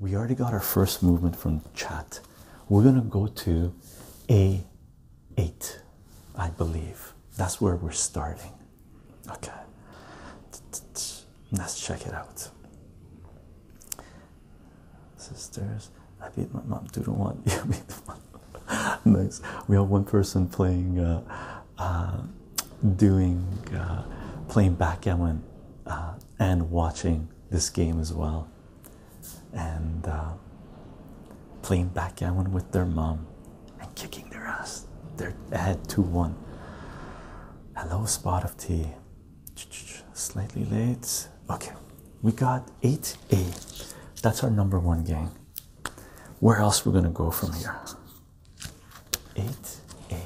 We already got our first movement from chat. We're going to go to A8, I believe. That's where we're starting. Okay. Let's check it out. Sisters, I beat my mom. Do the one. You beat the nice. We have one person playing, uh, uh, doing, uh, playing backgammon uh, and watching this game as well, and uh, playing backgammon with their mom and kicking their ass. They're ahead 2 1. Hello, spot of tea. slightly late. Okay, we got 8A. That's our number one game where else we're going to go from here 8a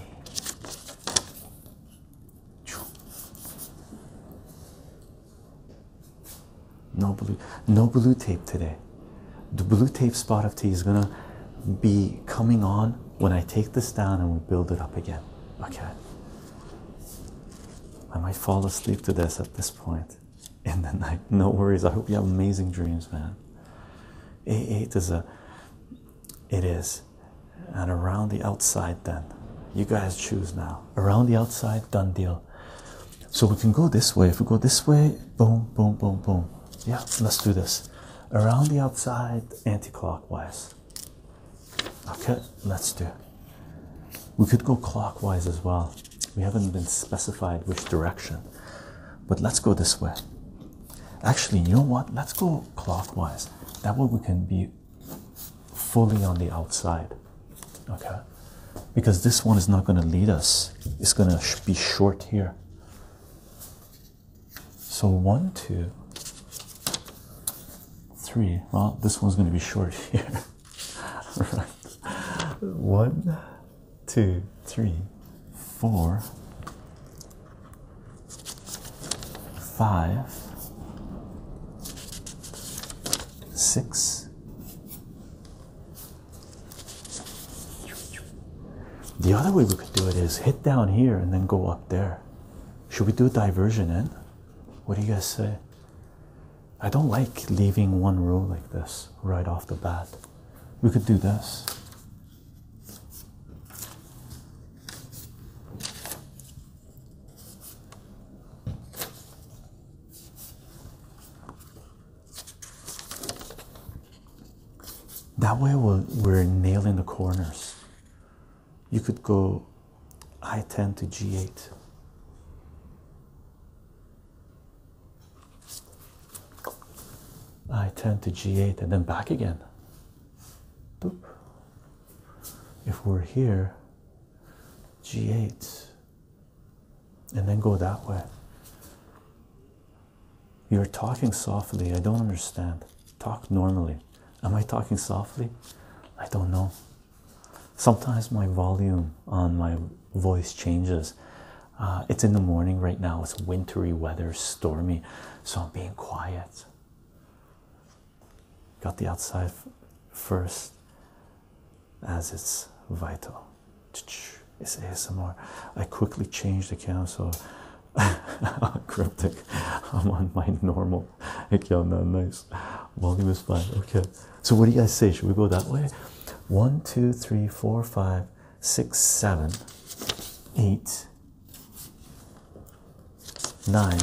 no blue no blue tape today the blue tape spot of tea is going to be coming on when i take this down and we build it up again okay i might fall asleep to this at this point in the night. No worries. I hope you have amazing dreams, man. A8 is a it is. And around the outside then. You guys choose now. Around the outside, done deal. So we can go this way. If we go this way, boom, boom, boom, boom. Yeah, let's do this. Around the outside, anti-clockwise. Okay, let's do it. We could go clockwise as well we haven't been specified which direction, but let's go this way. Actually, you know what? Let's go clockwise. That way we can be fully on the outside, okay? Because this one is not going to lead us, it's going to be short here. So, one, two, three. Well, this one's going to be short here. One, two, three, four, five, six. The other way we could do it is hit down here and then go up there. Should we do a diversion in? What do you guys say? I don't like leaving one row like this right off the bat we could do this. That way we are nailing the corners. You could go I10 to G8 i turn to G8 and then back again. If we're here, G8, and then go that way. You're talking softly. I don't understand. Talk normally. Am I talking softly? I don't know. Sometimes my volume on my voice changes. Uh, it's in the morning right now, it's wintry weather, stormy, so I'm being quiet. Got the outside first, as it's vital. It's ASMR. I quickly changed the camera. so cryptic. I'm on my normal account Nice volume is fine. Okay. So, what do you guys say? Should we go that way? One, two, three, four, five, six, seven, eight, nine,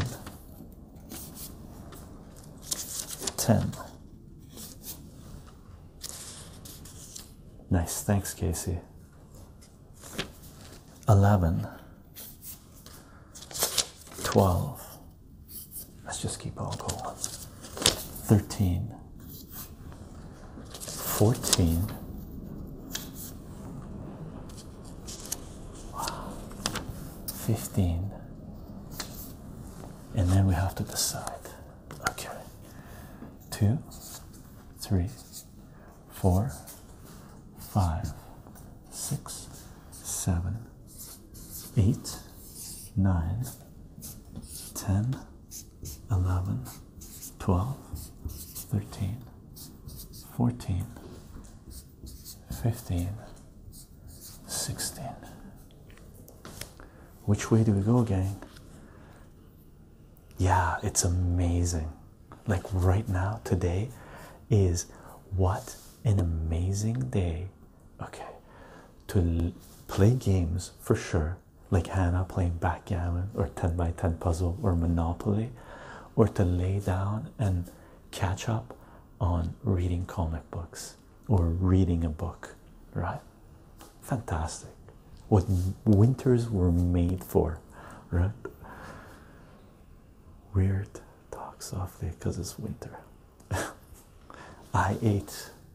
ten. Nice, thanks, Casey. Eleven, twelve. Let's just keep on going. 13 14 15 and then we have to decide okay two three four five six seven eight nine ten 11 12 13 14 15 16 which way do we go gang yeah it's amazing like right now today is what an amazing day okay to play games for sure like Hannah playing backgammon or 10 by 10 puzzle or Monopoly, or to lay down and catch up on reading comic books or reading a book, right? Fantastic. What winters were made for, right? Weird, talk softly because it's winter. I ate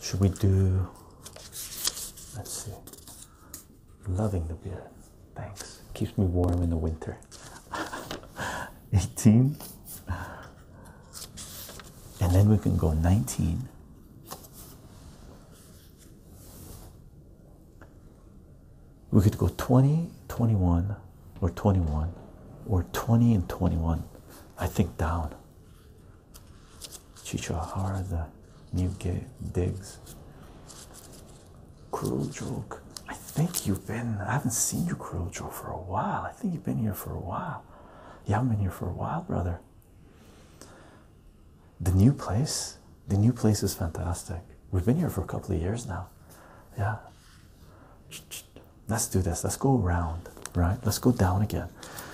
should we do let's see loving the beer, thanks keeps me warm in the winter 18 and then we can go 19 we could go 20 21 or 21 or 20 and 21 i think down Chicho Harada, Newgate, digs? Cruel Joke. I think you've been, I haven't seen you, Cruel Joke, for a while. I think you've been here for a while. Yeah, i haven't been here for a while, brother. The new place, the new place is fantastic. We've been here for a couple of years now. Yeah. Let's do this. Let's go around, right? Let's go down again.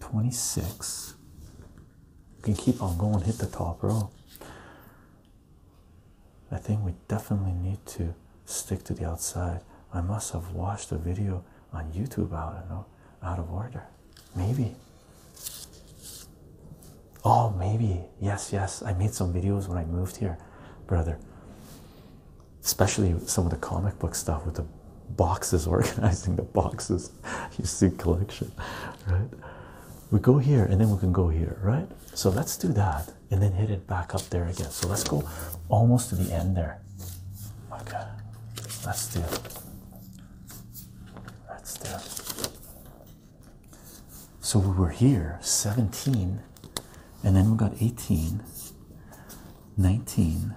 26. You can keep on going, hit the top row. I think we definitely need to stick to the outside. I must have watched a video on YouTube out of, out of order. Maybe. Oh, maybe. Yes, yes. I made some videos when I moved here, brother. Especially some of the comic book stuff with the boxes, organizing the boxes. You see, collection, right? We go here and then we can go here, right? So let's do that and then hit it back up there again. So let's go almost to the end there. Okay, let's do it. Let's do So we were here 17, and then we got 18, 19,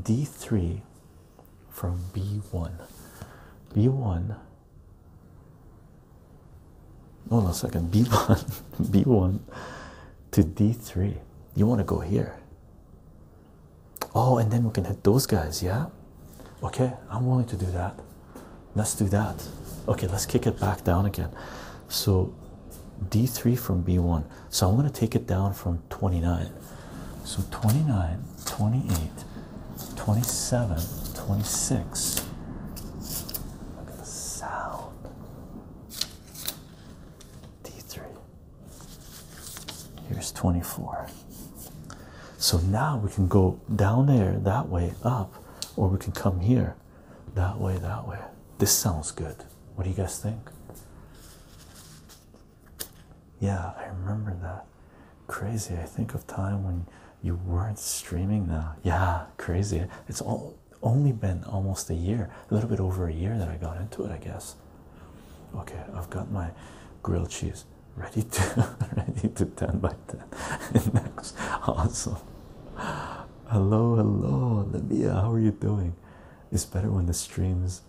d3 from b1 b1 hold on a second b1 b1 to d3 you want to go here oh and then we can hit those guys yeah okay i'm willing to do that let's do that okay let's kick it back down again so d3 from b1 so I'm going to take it down from 29. So 29, 28, 27, 26. Look at the sound. D3. Here's 24. So now we can go down there that way, up, or we can come here that way, that way. This sounds good. What do you guys think? Yeah, I remember that. Crazy. I think of time when you weren't streaming now. Yeah, crazy. It's all only been almost a year, a little bit over a year that I got into it, I guess. Okay, I've got my grilled cheese ready to ready to 10 by 10. Next awesome. Hello, hello, Olivia. How are you doing? It's better when the streams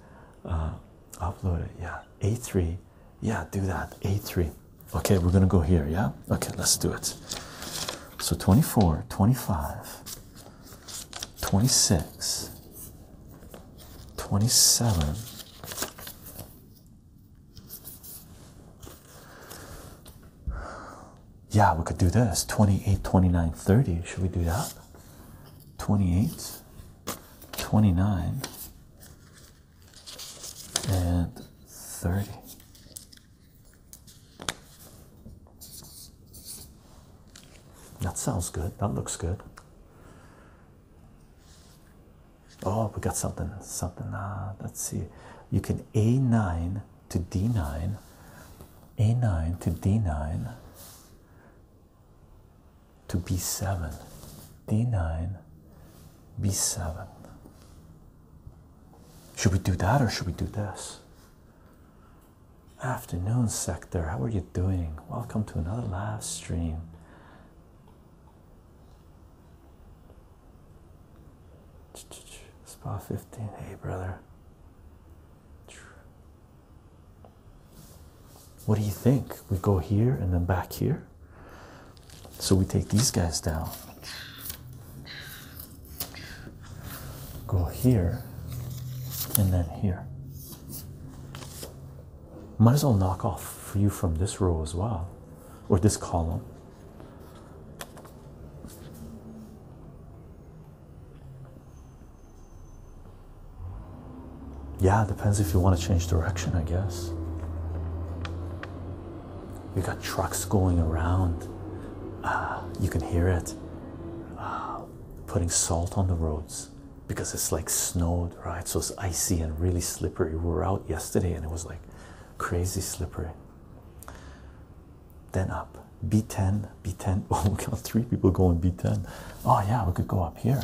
uh, upload it yeah a3 yeah do that a3 okay we're gonna go here yeah okay let's do it so 24 25 26 27 yeah we could do this 28 29 30 should we do that 28 29 and 30 that sounds good that looks good oh we got something something Ah, let's see you can a9 to d9 a9 to d9 to b7, d9, b7. Should we do that or should we do this? Afternoon, Sector. How are you doing? Welcome to another live stream. Spot 15. Hey, brother. What do you think? We go here and then back here. So we take these guys down. Go here and then here. Might as well knock off for you from this row as well, or this column. Yeah, depends if you want to change direction, I guess. You got trucks going around. Uh, you can hear it uh, putting salt on the roads because it's like snowed, right? So it's icy and really slippery. We were out yesterday and it was like crazy slippery. Then up B10, B10. Oh, we got three people going B10. Oh, yeah, we could go up here.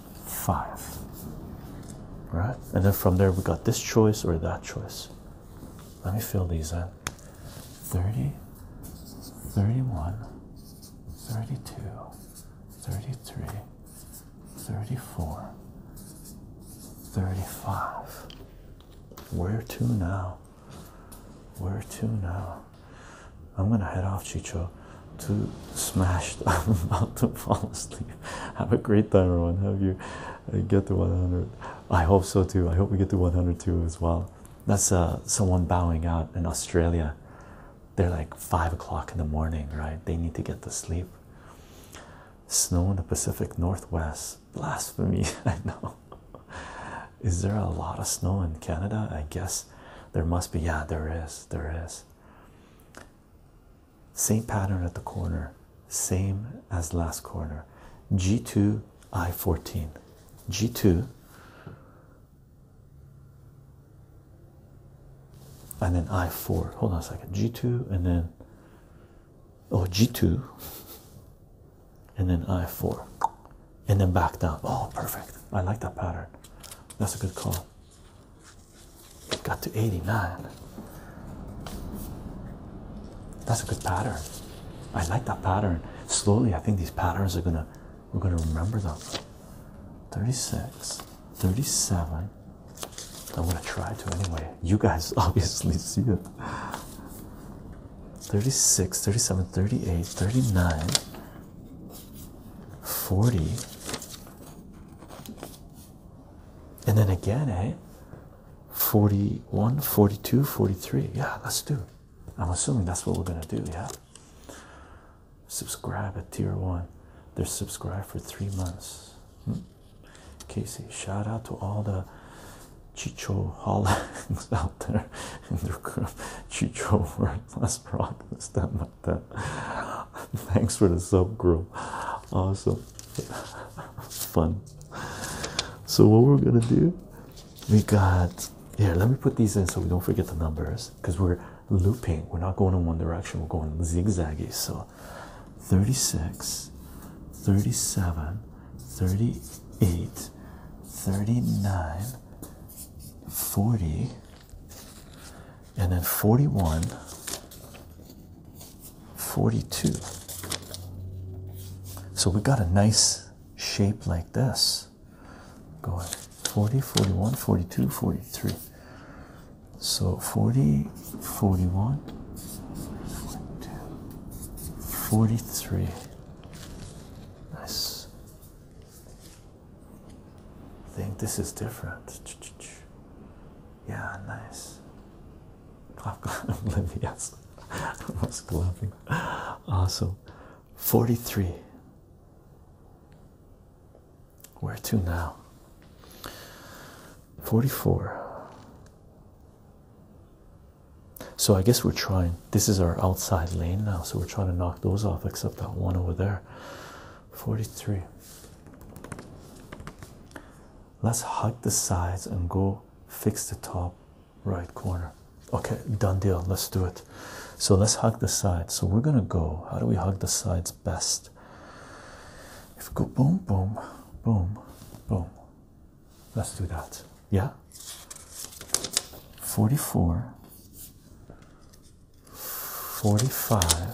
five right and then from there we got this choice or that choice let me fill these in 30 31 32 33 34 35 where to now where to now i'm gonna head off chicho to smash i'm about to fall asleep Have a great time, everyone. Have you uh, get to 100? I hope so too. I hope we get to 102 as well. That's uh, someone bowing out in Australia. They're like five o'clock in the morning, right? They need to get to sleep. Snow in the Pacific Northwest. Blasphemy, I know. Is there a lot of snow in Canada? I guess there must be. Yeah, there is. There is. Same pattern at the corner, same as last corner. G2 I14. G2 and then I4. Hold on a second. G2 and then oh G2 and then I4 and then back down. Oh perfect. I like that pattern. That's a good call got to 89. That's a good pattern. I like that pattern. Slowly, I think these patterns are gonna we're gonna remember them. 36, 37. I'm gonna try to anyway. You guys obviously see it. 36, 37, 38, 39, 40 and then again, eh? 41, 42, 43. Yeah, let's do. I'm assuming that's what we're gonna do. Yeah, subscribe at tier one. They're subscribed for three months. Hmm. Casey, shout out to all the Chicho Hollings out there Chicho word, let's rock this uh, Thanks for the sub, subgroup. Awesome. Fun. So what we're gonna do, we got here. Let me put these in so we don't forget the numbers because we're looping. We're not going in one direction. We're going zigzaggy. So, thirty-six, thirty-seven, thirty-eight, thirty-nine, forty, and then forty-one. 42. So we got a nice shape like this going 40, 41, 42, 43. So 40, 41, 43. Nice. think this is different. Yeah, nice. Oblivious. I was laughing. Awesome. 43. Where to now? 44. So I guess we're trying. This is our outside lane now, so we're trying to knock those off, except that one over there. 43 let's hug the sides and go fix the top right corner okay done deal let's do it so let's hug the sides so we're gonna go how do we hug the sides best if we go boom boom boom boom let's do that yeah 44 45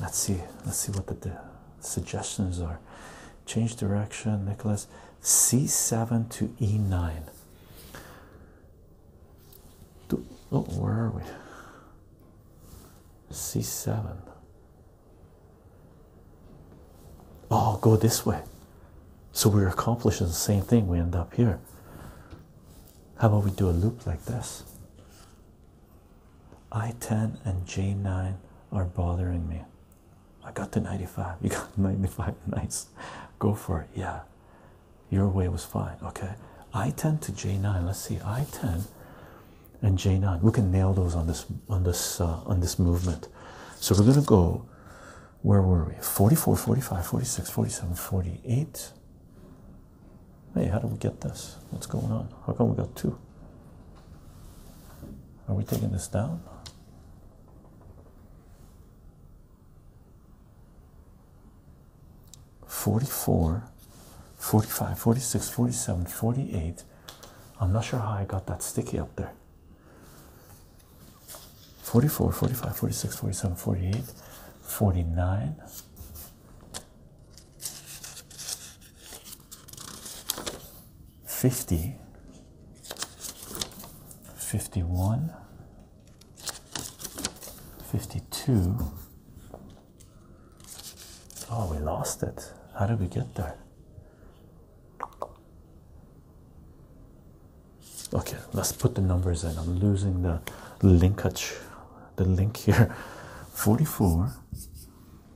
Let's see. Let's see what the, suggestions are. Change direction, Nicholas. C7 to E9. Do, oh, where are we? C7. Oh, go this way. So we're accomplishing the same thing. We end up here. How about we do a loop like this? I-10 and J9 are bothering me. I got to 95. You got 95. Nice. Go for it. Yeah. Your way was fine. Okay. I-10 to J9. Let's see. I-10 and J9. We can nail those on this on this uh, on this movement. So we're gonna go where were we? 44, 45, 46, 47, 48. Hey, how do we get this? What's going on? How come we got two? Are we taking this down? Forty-four, forty-five, forty-six, forty-seven, forty-eight. I'm not sure how I got that sticky up there. 44, 45, 46, 47, 48, 49, 50 51 52 oh we lost it how did we get there okay let's put the numbers in i'm losing the linkage the link here 44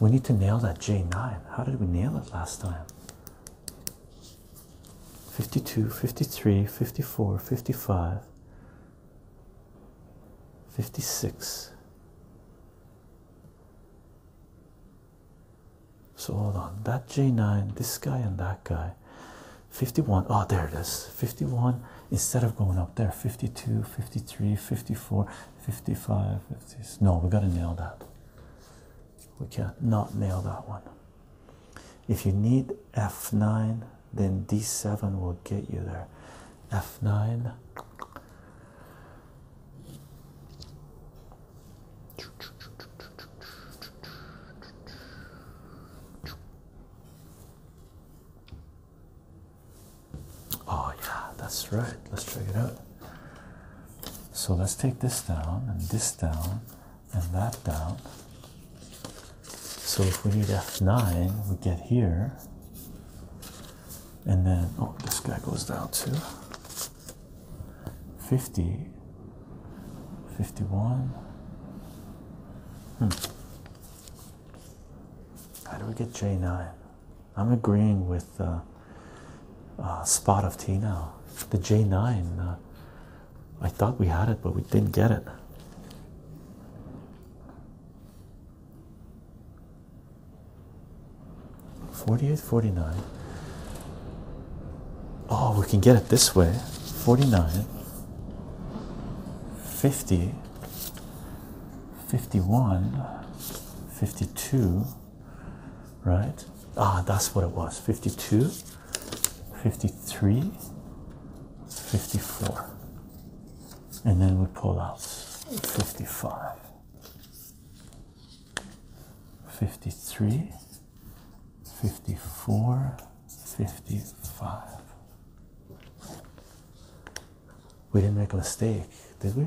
We need to nail that J9. How did we nail it last time? 52, 53, 54, 55, 56. So hold on. That J9, this guy and that guy. 51. Oh, there it is. 51. Instead of going up there, 52, 53, 54, 55, 50s. No, we gotta nail that. We can't not nail that one. If you need F9, then D7 will get you there. F9. Oh, yeah, that's right. Let's check it out. So let's take this down, and this down, and that down. So if we need F9, we get here. And then, oh, this guy goes down to 50, 51. Hmm. How do we get J9? I'm agreeing with uh, uh, Spot of Tea now. The J9, uh, I thought we had it, but we didn't get it. Forty-eight, forty-nine. Oh, we can get it this way. Forty-nine. Fifty. Fifty-one. Fifty-two right? Ah, that's what it was 52, 53, 54. And then we pull out 55, 53, 54, 55. We didn't make a mistake, did we?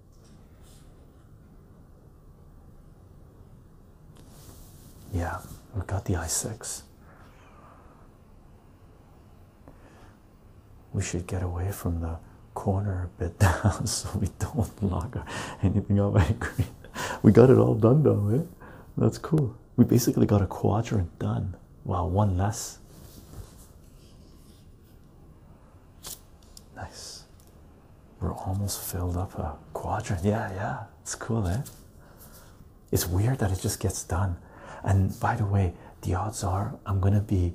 Yeah, we've got the i6. We should get away from the corner a bit down so we don't lock anything up. I agree. We got it all done though, eh? That's cool. We basically got a quadrant done. Wow, one less. Nice. We're almost filled up a quadrant. Yeah, yeah, it's cool, eh? It's weird that it just gets done. And by the way, the odds are I'm gonna be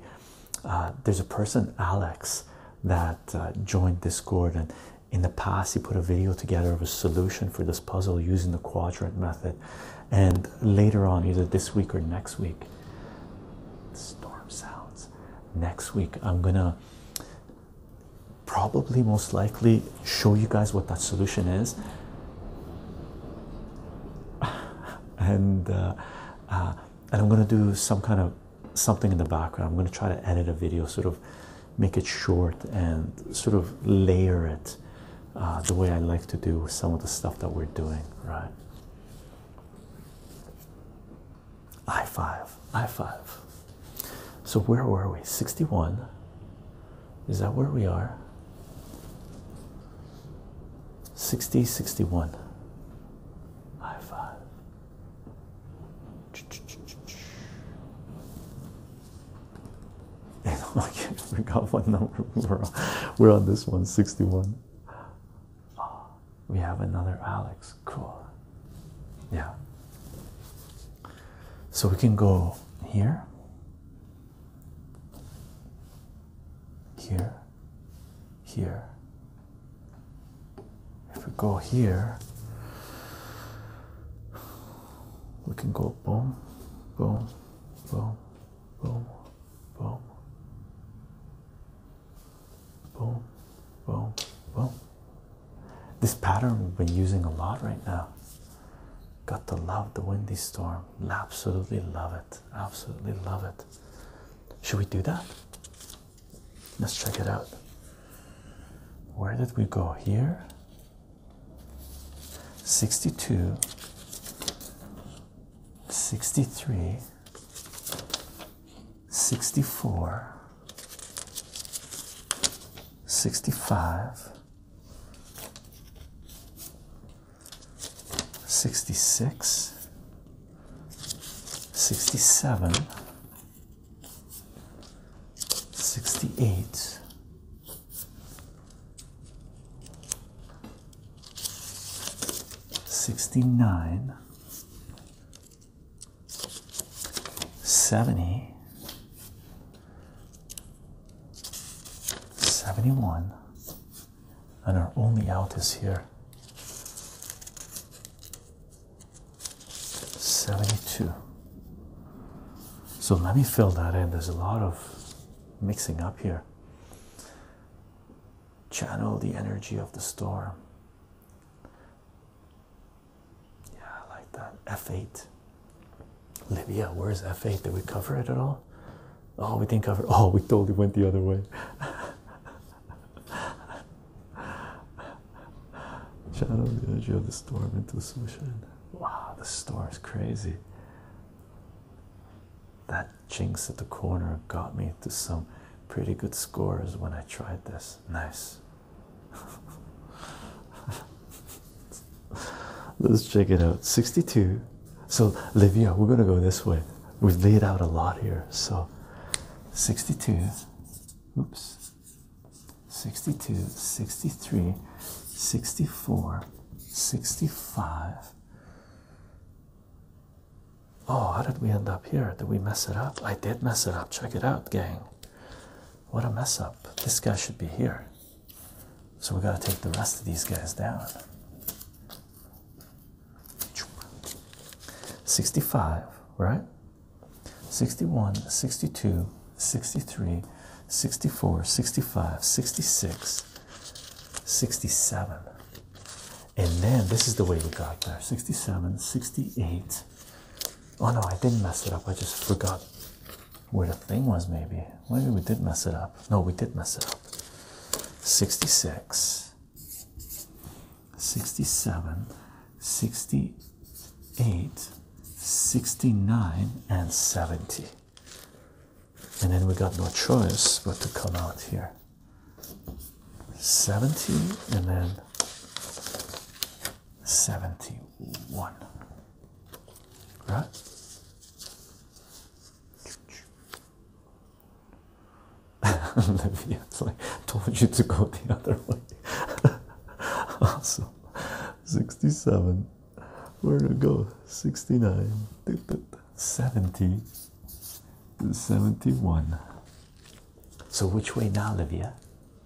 uh, there's a person, Alex, that uh, joined Discord, and in the past he put a video together of a solution for this puzzle using the quadrant method. And later on, either this week or next week, storm sounds. Next week, I'm gonna probably most likely show you guys what that solution is and uh, uh, and I'm gonna do some kind of something in the background I'm gonna try to edit a video sort of make it short and sort of layer it uh, the way I like to do some of the stuff that we're doing right I five, I five. So where were we? Sixty one. Is that where we are? 60, 61. High five. And I forgot what number we're on. We're on this one, 61. Oh, we have another Alex. Cool. Yeah. So we can go here, here, here. If we go here, we can go boom, boom, boom, boom, boom, Boom, boom, boom. This pattern we've been using a lot right now. Got to love the windy storm. Absolutely love it. Absolutely love it. Should we do that? Let's check it out. Where did we go here? 62, 63, 64. 65 66 67 68 69 70 71 and our only out is here 72 so let me fill that in there's a lot of mixing up here channel the energy of the storm yeah, I like that. F8. Libya, where's F8? Did we cover it at all? Oh, we didn't cover Oh, we totally went the other way. Channel the energy of the storm into the solution. Wow, the storm is crazy. That jinx at the corner got me to some pretty good scores when I tried this. Nice. Let's check it out. 62. So, Livia, we're going to go this way. We've laid out a lot here. So, 62. Oops. 62, 63, 64, 65. Oh, how did we end up here? Did we mess it up? I did mess it up. Check it out, gang. What a mess up. This guy should be here. So we got to take the rest of these guys down. 65, right? 61, 62, 63, 64, 65, 66, 67. And then this is the way we got there 67, 68, Oh no, I did not mess it up. I just forgot where the thing was, maybe. Maybe we did mess it up. No, we did mess it up. 66, 67, 68, 69, and 70. And then we got no choice but to come out here. 70 and then 71. Right? Olivia, told you to go the other way. awesome. 67. Where to go? 69. 70. 71. So which way now, Olivia?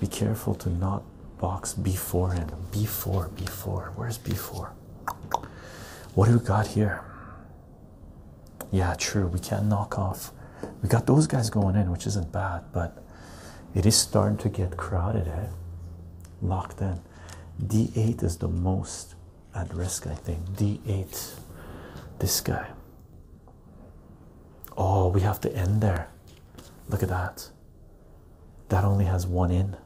Be careful to not box before and before before. Where's before? What do we got here? Yeah, true. We can't knock off. We got those guys going in, which isn't bad, but it is starting to get crowded, eh? Locked in. d8 is the most at risk, I think. d8. This guy. Oh, we have to end there. Look at that. That only has one in.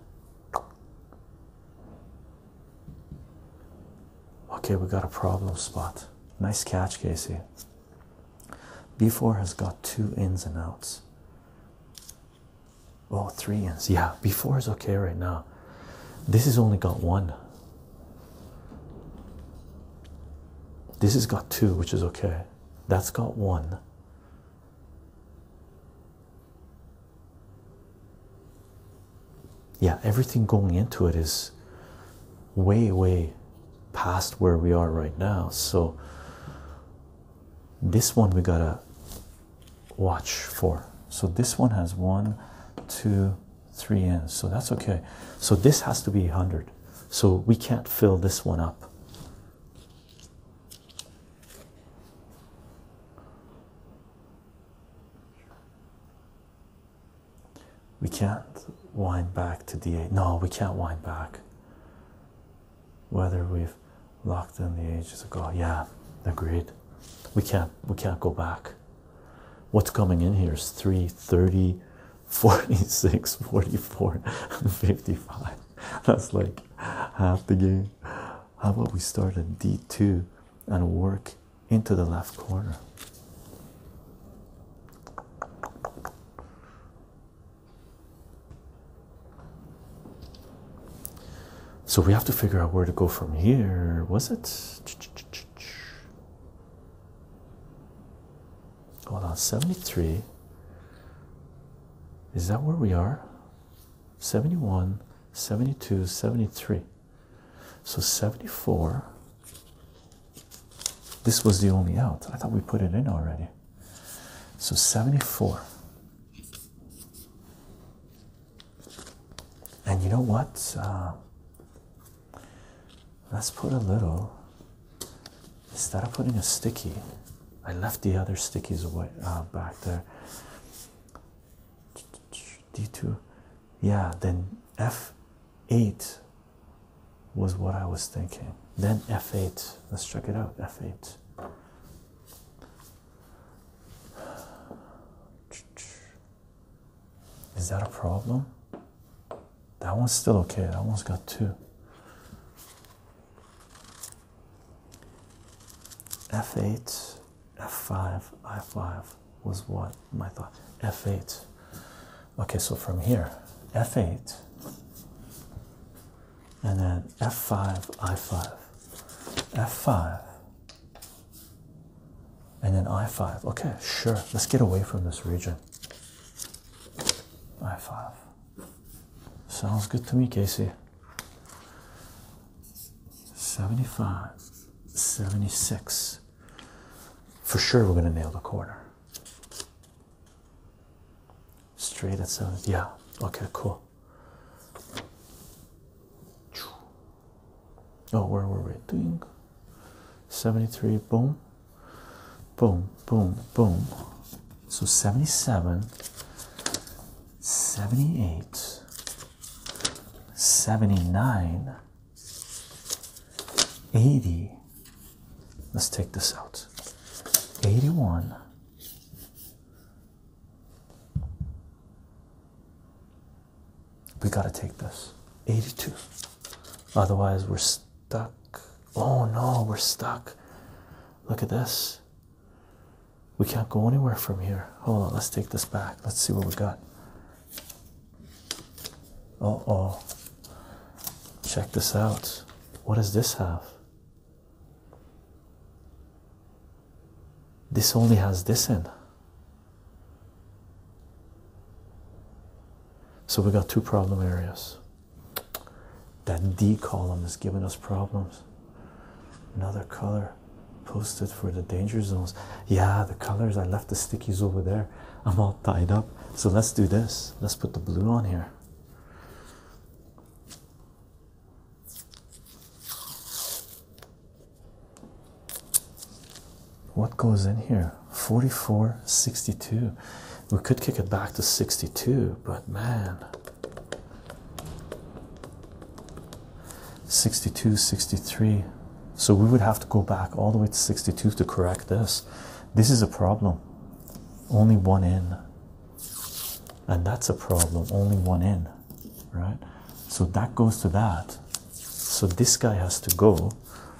Okay, we got a problem spot. Nice catch, Casey. B4 has got two ins and outs. Oh, three ins. Yeah, B4 is okay right now. This has only got one. This has got two, which is okay. That's got one yeah, everything going into it is way, way past where we are right now. So, this one we gotta watch for. So, this one has one, two, three ends. So, that's okay. So, this has to be 100. So, we can't fill this one up. We can't wind back to the 8 No, we can't wind back. Whether we've locked in the ages ago. Yeah, agreed. We can't we can't go back. What's coming in here is 3, 30, 46, 44, 55. That's like like half How about we start at D2 and work into the left corner? So we have to figure out where to go from here. Was it? Hold on, 73. Is that where we are? 71, 72, 73. So 74. This was the only out. I thought we put it in already. So 74. And you know what? Uh, let's put a little instead of putting a sticky, I left the other stickies away uh, back there. D2, yeah, then F8 was what I was thinking. Then F8, let's check it out. F8. Is that a problem? That one's still okay. That one's got two f8 f5 i5 was what my thought f8 okay so from here f8 and then f5 i5 f5 and then i5 okay sure let's get away from this region i5 sounds good to me casey 75 76 for sure we're going to nail the corner straight at 7 yeah okay cool oh where were we doing 73 boom boom boom boom so 77, 78, 79, 80. Let's take this out. 81. We gotta take this 82 otherwise we're stuck oh no we're stuck look at this we can't go anywhere from here. Hold on, let's take this back. Let's see what we got. Uh oh. Check this out. What does this have? This only has this in. So we got two problem areas. That D column is giving us problems. Another color posted for the danger zones. Yeah, the colors, I left the stickies over there. I'm all tied up. So let's do this. Let's put the blue on here. What goes in here? Forty-four, sixty-two. We could kick it back to 62, but man, 62 63 so we would have to go back all the way to 62 to correct this this is a problem only one in and that's a problem only one in right so that goes to that so this guy has to go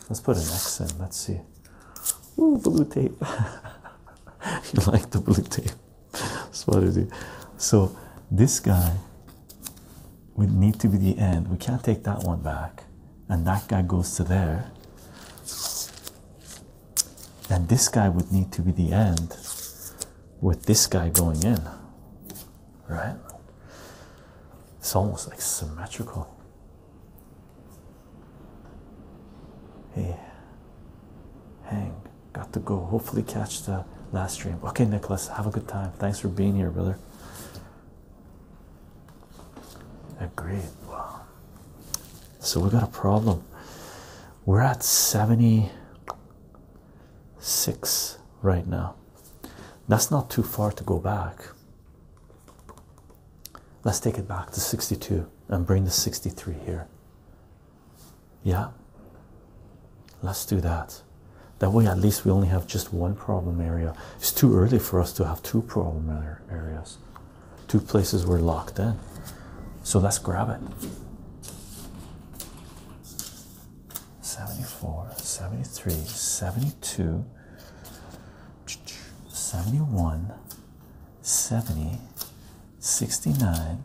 let's put an x in let's see Ooh, blue tape you like the blue tape Spotty. So this guy would need to be the end. We can't take that one back. And that guy goes to there. And this guy would need to be the end with this guy going in. Right? It's almost like symmetrical. Hey, hang. Got to go. Hopefully, catch the last stream. Okay, Nicholas, have a good time. Thanks for being here, brother. Agreed. Wow. So we got a problem. We're at 76 right now. That's not too far to go back. Let's take it back to 62 and bring the 63 here. Yeah, let's do that. That way, at least we only have just one problem area. It's too early for us to have two problem areas, two places we're locked in. So let's grab it. 74, 73, 72, 71, 70, 69,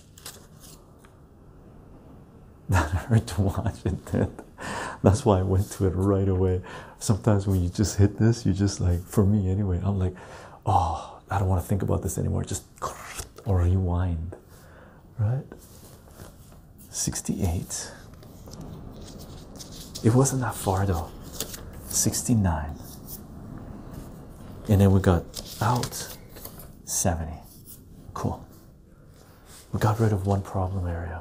That hard to watch intent. That's why I went to it right away. Sometimes when you just hit this, you just like for me anyway, I'm like, oh, I don't want to think about this anymore. Just or rewind. Right? 68. It wasn't that far though. 69. And then we got out 70. Cool. We got rid of one problem area.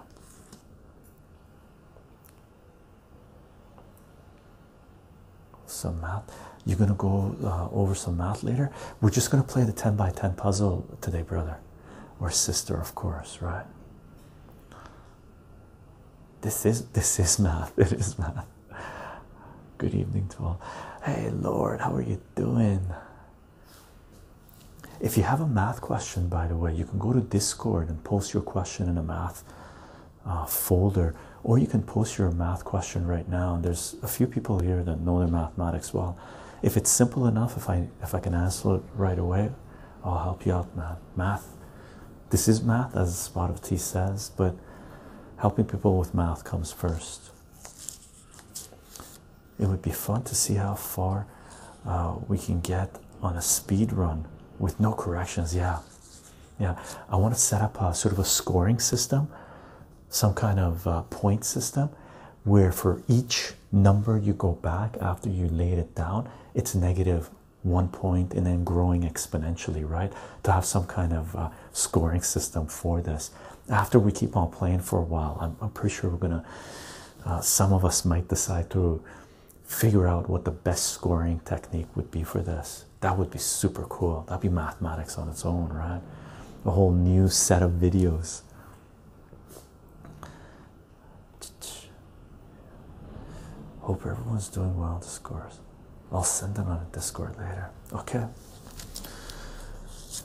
Some math. You're gonna go uh, over some math later. We're just gonna play the 10 by 10 puzzle today, brother or sister, of course, right? This is this is math. It is math. Good evening to all. Hey Lord, how are you doing? If you have a math question, by the way, you can go to Discord and post your question in a math uh, folder, or you can post your math question right now. And there's a few people here that know their mathematics well. If it's simple enough, if I if I can answer it right away, I'll help you out, man. Math. This is math, as Spot of Tea says, but helping people with math comes first. It would be fun to see how far uh, we can get on a speed run with no corrections. Yeah, yeah. I want to set up a sort of a scoring system, some kind of uh, point system, where for each number you go back after you laid it down, it's negative one point and then growing exponentially, right? To have some kind of uh, scoring system for this after we keep on playing for a while, I'm, pretty sure we're gonna. Uh, some of us might decide to figure out what the best scoring technique would be for this. That would be super cool. That'd be mathematics on its own, right? A whole new set of videos. Hope everyone's doing well. on Discord. I'll send them on a Discord later. Okay.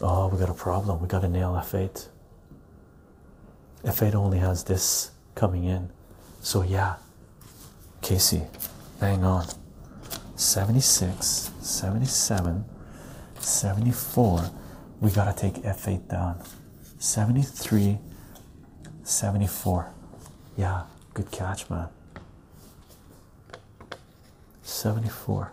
Oh, we got a problem. We got to nail F8. F8 only has this coming in. So, yeah, Casey, hang on. 76, 77, 74. We got to take F8 down. 73, 74. Yeah, good catch, man. 74.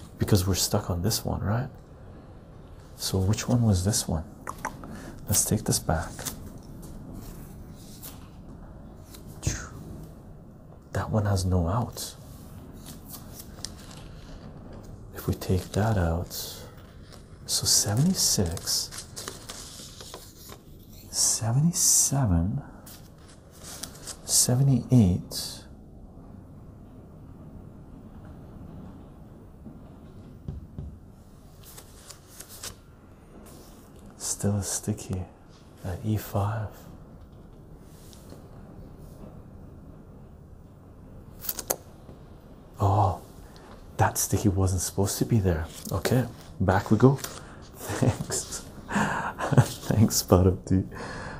because we're stuck on this one, right? So, which one was this one? Let's take this back. That one has no outs. If we take that out, so 76, 77, 78 still a sticky at e5 oh that sticky wasn't supposed to be there okay back we go thanks thanks spot of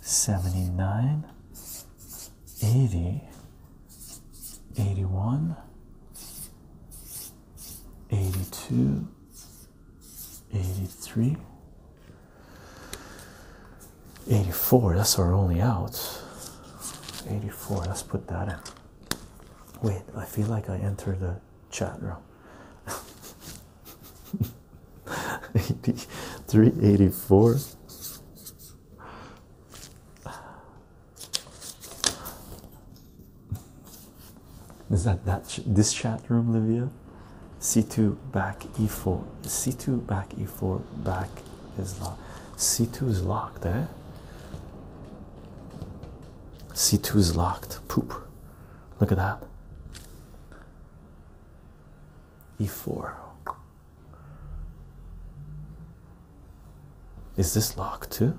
79 80 81 82 83 84 that's our only out 84 let's put that in wait i feel like i entered the chat room 83 is that that this chat room Livia c2 back e4 c2 back e4 back is locked c2 is locked eh c2 is locked poop look at that e4 is this locked too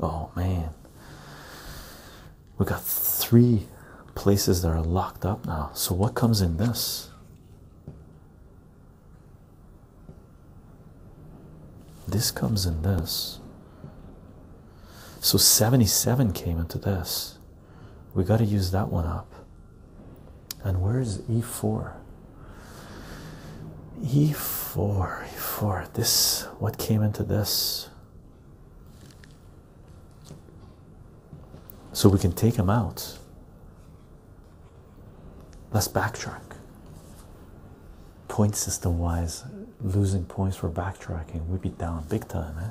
oh man we got three places that are locked up now so what comes in this this comes in this so 77 came into this we got to use that one up. And where is e4? e4, e4. This, what came into this? So we can take him out. Let's backtrack. Point system wise, losing points for backtracking, we'd be down big time, eh?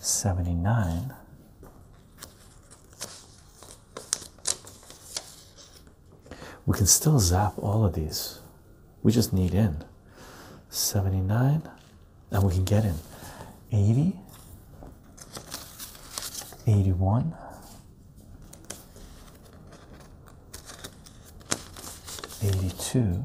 79 we can still zap all of these we just need in 79 and we can get in 80 81 82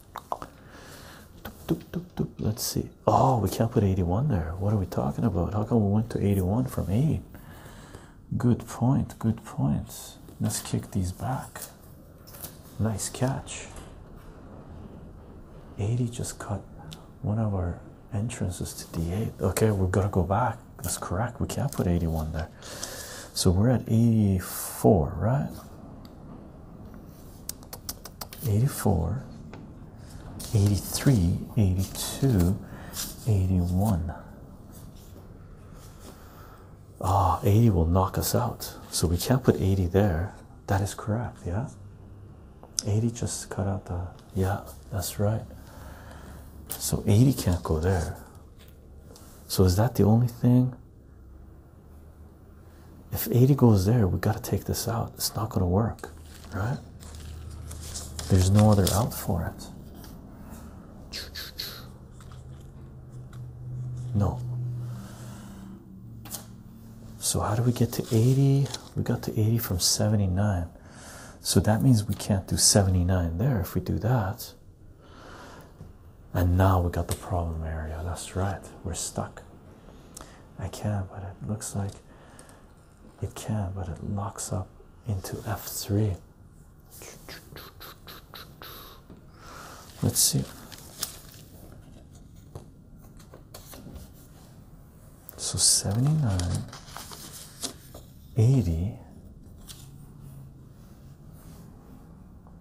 Let's see. Oh, we can't put 81 there. What are we talking about? How come we went to 81 from 8? Good point. Good point. Let's kick these back. Nice catch. 80 just cut one of our entrances to D8. Okay, we've got to go back. That's correct. We can't put 81 there. So we're at 84, right? 84 83 82 81 Ah, 80 will knock us out, so we can't put 80 there. That is correct, yeah. 80 just cut out the yeah, that's right. So 80 can't go there. So is that the only thing? If 80 goes there, we got to take this out. It's not going to work, right? There's no other out for it. No. So, how do we get to 80? We got to 80 from 79. So that means we can't do 79 there if we do that. And now we got the problem area. That's right, we're stuck. I can, but it looks like it can, but it locks up into F3. Let's see. So 79, 80,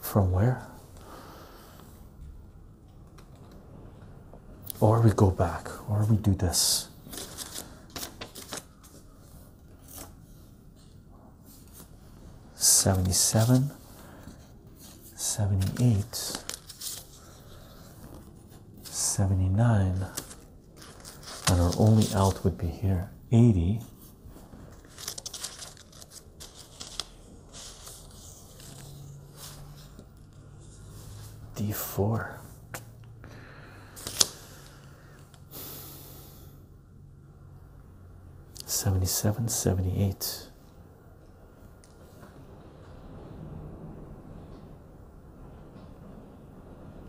From where? Or we go back, or we do this. Seventy seven, seventy eight, seventy nine, and our only out would be here 80 D4. Seventy-seven, seventy-eight.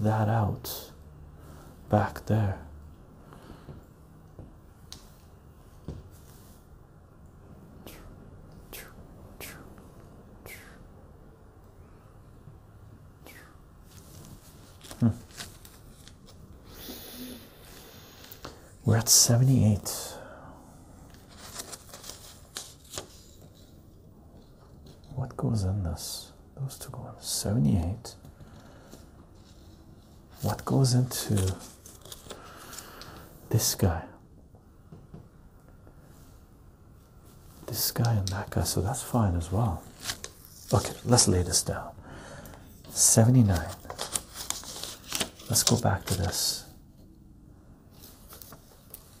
that out back there. Hmm. We're at 78. What goes in this? Those two go in 78. What goes into this guy? This guy and that guy, so that's fine as well. Okay, let's lay this down. 79. Let's go back to this.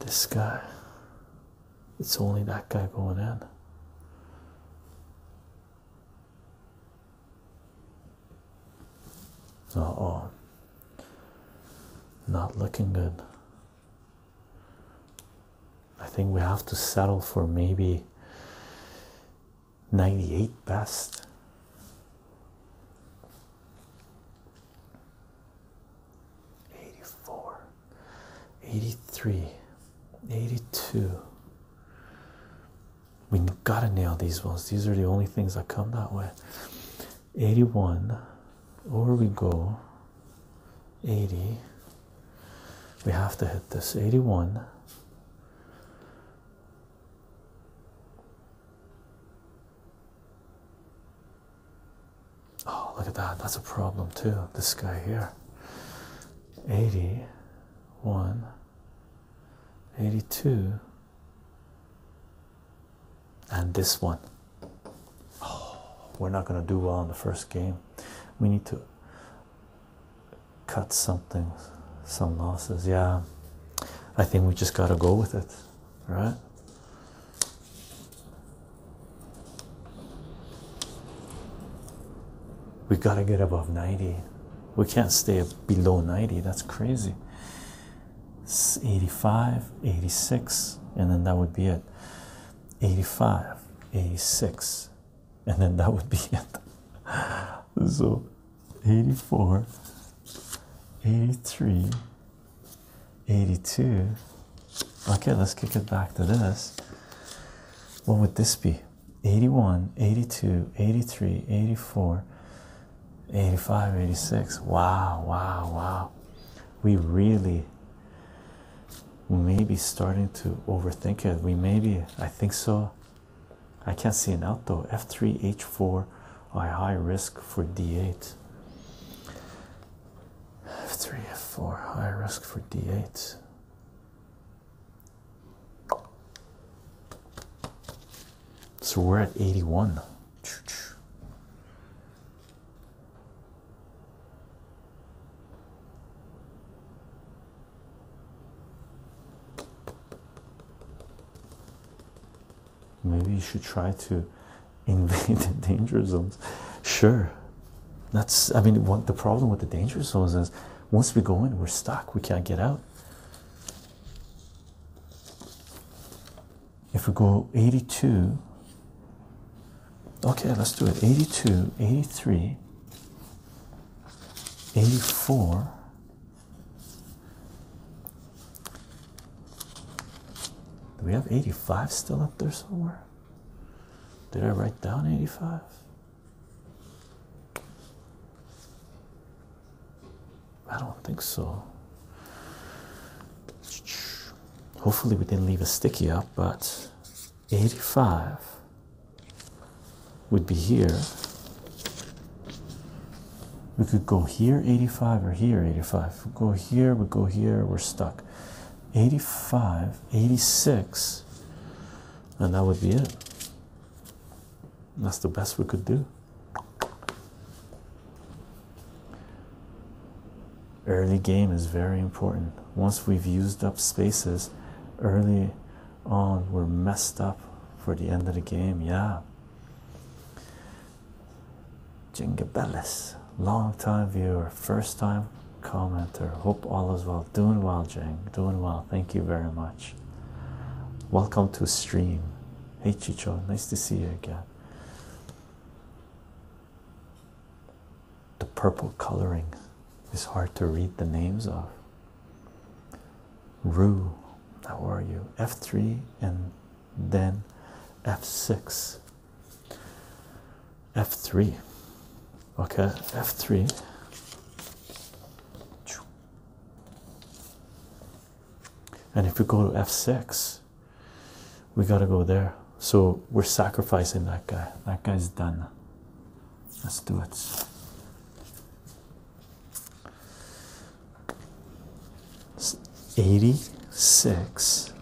This guy, it's only that guy going in. Uh oh, not looking good. I think we have to settle for maybe 98 best. Eighty-four, eighty-three, eighty-two. We gotta nail these ones. These are the only things that come that way. Eighty-one, over we go. Eighty. We have to hit this. Eighty-one. Oh, look at that. That's a problem, too. This guy here 81, 82, and this one. Oh, we're not going to do well in the first game. We need to cut some. Things, some losses. Yeah, I think we just got to go with it, right? We got to get above 90. We can't stay below 90. That's crazy. It's 85, 86, and then that would be it. 85, 86, and then that would be it. so 84, 83, 82. Okay, let's kick it back to this. What would this be? 81, 82, 83, 84, 85, 86. Wow, wow, wow. We really may be starting to overthink it. We may be, I think so. I can't see an out though. F3, H4 are high risk for D8. F3, F4, high risk for D8. So we're at 81. Maybe you should try to invade the danger zones. Sure, that's I mean, what the problem with the danger zones is once we go in, we're stuck, we can't get out. If we go 82, okay, let's do it 82, 83, 84. Do we have 85 still up there somewhere? Did I write down 85? I don't think so. Hopefully, we didn't leave a sticky up, but 85 would be here we could go here 85 or here 85 we go here we go here we're stuck 85 86 and that would be it that's the best we could do early game is very important once we've used up spaces early on we're messed up for the end of the game yeah Jingabellis, long time viewer, first time commenter. Hope all is well. Doing well, Jing. Doing well. Thank you very much. Welcome to stream. Hey Chicho, nice to see you again. The purple coloring is hard to read the names of. Rue, how are you? F3 and then f6 f3 okay f3 and if we go to f6 we got to go there so we're sacrificing that guy that guy's done let's do it 86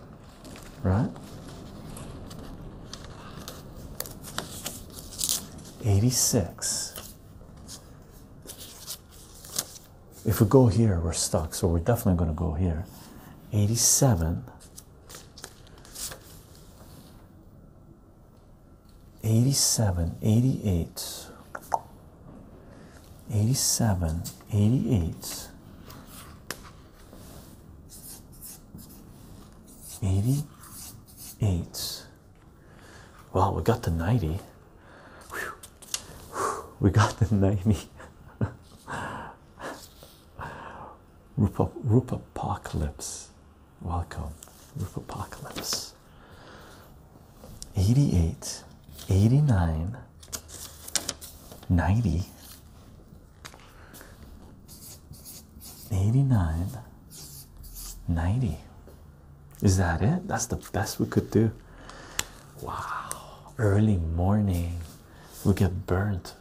right 86 if we go here we're stuck so we're definitely going to go here 87 87 88 87, 88, 88. Well, we got the 90. We got the 90. Roop Apocalypse. Welcome, Roop Apocalypse this 88 89 90 89 90 is that it that's the best we could do wow early morning we get burnt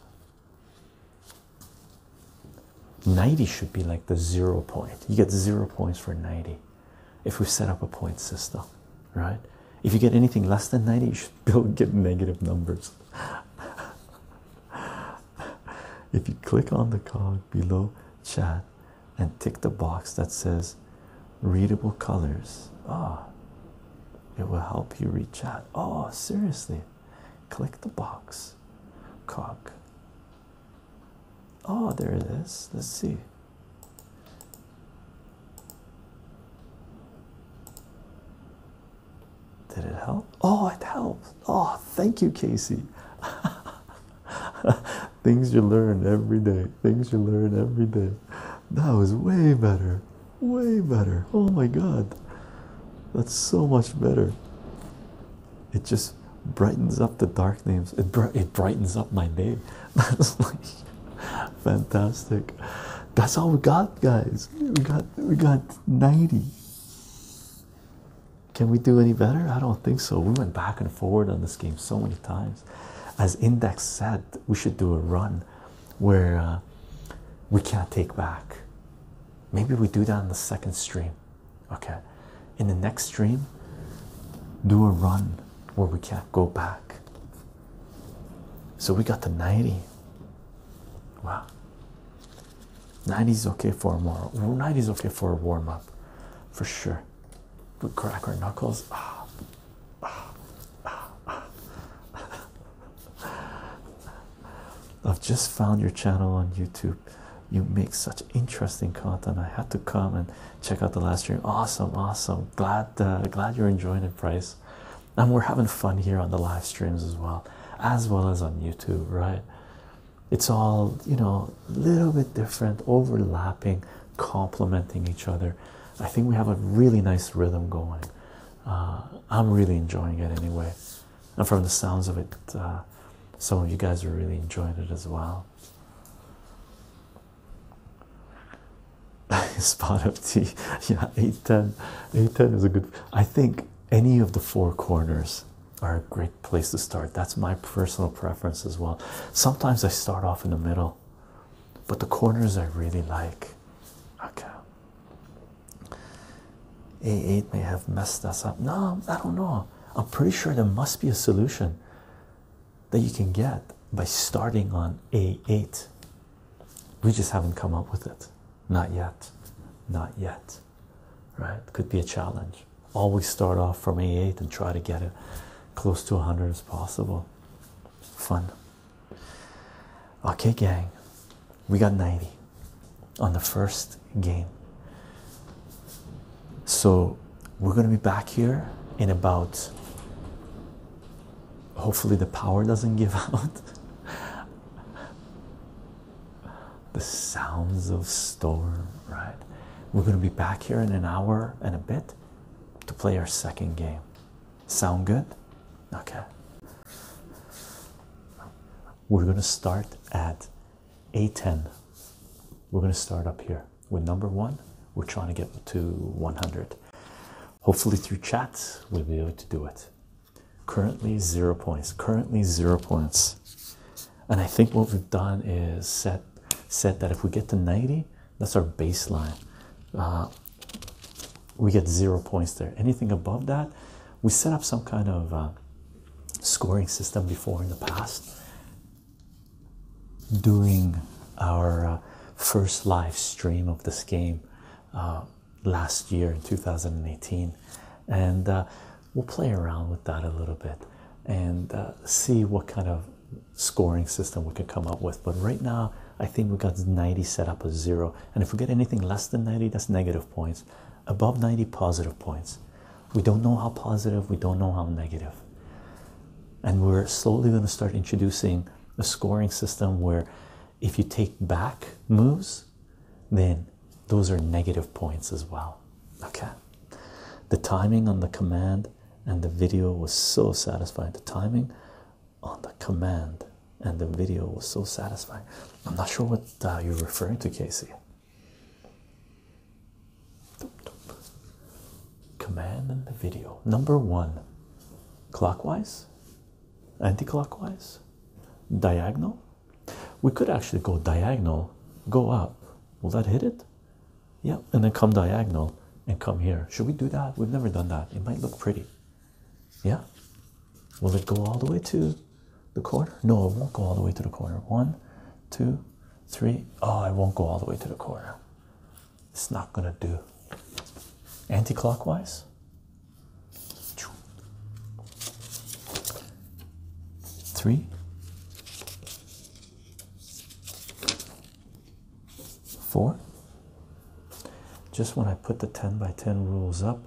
90 should be like the zero point you get zero points for 90 if we set up a point system, right? If you get anything less than 90, you should still get negative numbers. if you click on the cog below chat and tick the box that says readable colors, ah, oh, it will help you reach out. Oh, seriously, click the box, cog. Oh, there it is. Let's see. Did it help? Oh, it helped. Oh, thank you, Casey. Things you learn every day. Things you learn every day. That was way better. Way better. Oh my god. That's so much better. It just brightens up the dark names. It it brightens up my name. Fantastic. That's all we got, guys. We got we got 90. Can we do any better? I don't think so. We went back and forward on this game so many times. As Index said, we should do a run where uh, we can't take back. Maybe we do that in the second stream. Okay. In the next stream, do a run where we can't go back. So we got the 90. Wow. 90 is okay for a 90 is okay for a warm up, for sure. We crack our knuckles. Ah. I've just found your channel on YouTube. You make such interesting content. I had to come and check out the last stream. Awesome, awesome. Glad, uh, glad you're enjoying it, Price. And we're having fun here on the live streams as well, as well as on YouTube, right? It's all you know, a little bit different, overlapping, complementing each other. I think we have a really nice rhythm going. Uh, I'm really enjoying it anyway, and from the sounds of it, uh, some of you guys are really enjoying it as well. Spot of tea. Yeah, 810. 810 is a good. I think any of the four corners are a great place to start. That's my personal preference as well. Sometimes I start off in the middle, but the corners I really like. Okay. A8 may have messed us up. No, I don't know. I'm pretty sure there must be a solution that you can get by starting on A8. We just haven't come up with it. Not yet. Not yet. Right? Could be a challenge. Always start off from A8 and try to get it close to 100 as possible. Fun. Okay, gang. We got 90 on the first game. So we're going to be back here in about Hopefully, the power doesn't give out. the sounds of storm, right? We're going to be back here in an hour and a bit to play our second game. Sound good? Okay. We're going to start at A10. We're going to start up here with number one. We're trying to get to 100. Hopefully, through chat, we'll be able to do it. Currently, zero points. Currently, zero points. And I think what we've done is set said that if we get to 90, that's our baseline. Uh, we get zero points there. Anything above that, we set up some kind of uh, scoring system before in the past during our uh, first live stream of this game uh, last year in 2018 and uh, we'll play around with that a little bit and see what kind of scoring system we can come up with but right now i think we got 90 set up as zero and if we get anything less than 90 that's negative points above 90 positive points we don't know how positive we don't know how negative and we're slowly going to start introducing a scoring system where if you take back moves, then those are negative points as well. Okay, the timing on the command and the video was so satisfying. The timing on the command and the video was so satisfying. I'm not sure what uh, you're referring to, Casey command and the video. Number one clockwise, anti clockwise, diagonal. We could actually go diagonal, go up. Will that hit it? Yeah, and then come diagonal and come here. Should we do that? We've never done that. It might look pretty. Yeah. Will it go all the way to the corner? No, it won't go all the way to the corner. One, two, three. Oh, I won't go all the way to the corner. It's not going to do. Anti-clockwise. Three. Four. Just when I put the 10 by 10 rules up,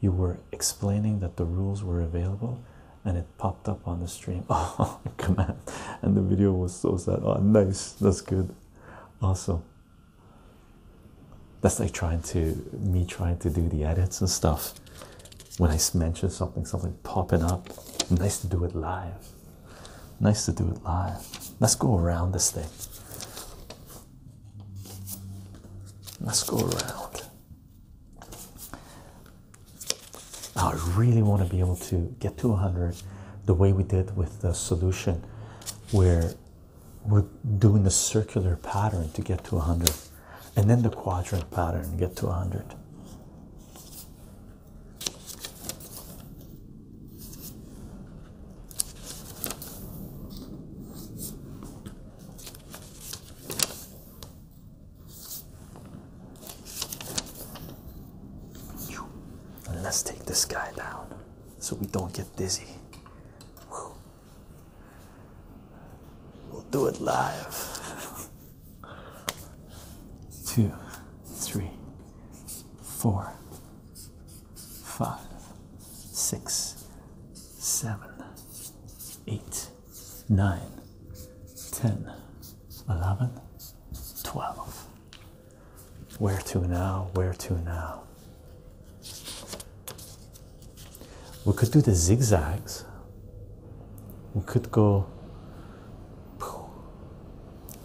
you were explaining that the rules were available and it popped up on the stream. Oh, come on! And the video was so sad. Oh, nice. That's good. Awesome. That's like trying to me trying to do the edits and stuff. When I mention something, something popping up. Nice to do it live. Nice to do it live. Let's go around this thing. Let's go around. I really want to be able to get to 100 the way we did with the solution where we're doing the circular pattern to get to 100 and then the quadrant pattern get to 100 let's take this guy down so we don't get dizzy. We'll do it live. Two, three, four, five, six, seven, eight, nine, ten, eleven, twelve. Where to now? Where to now? We could do the zigzags. We could go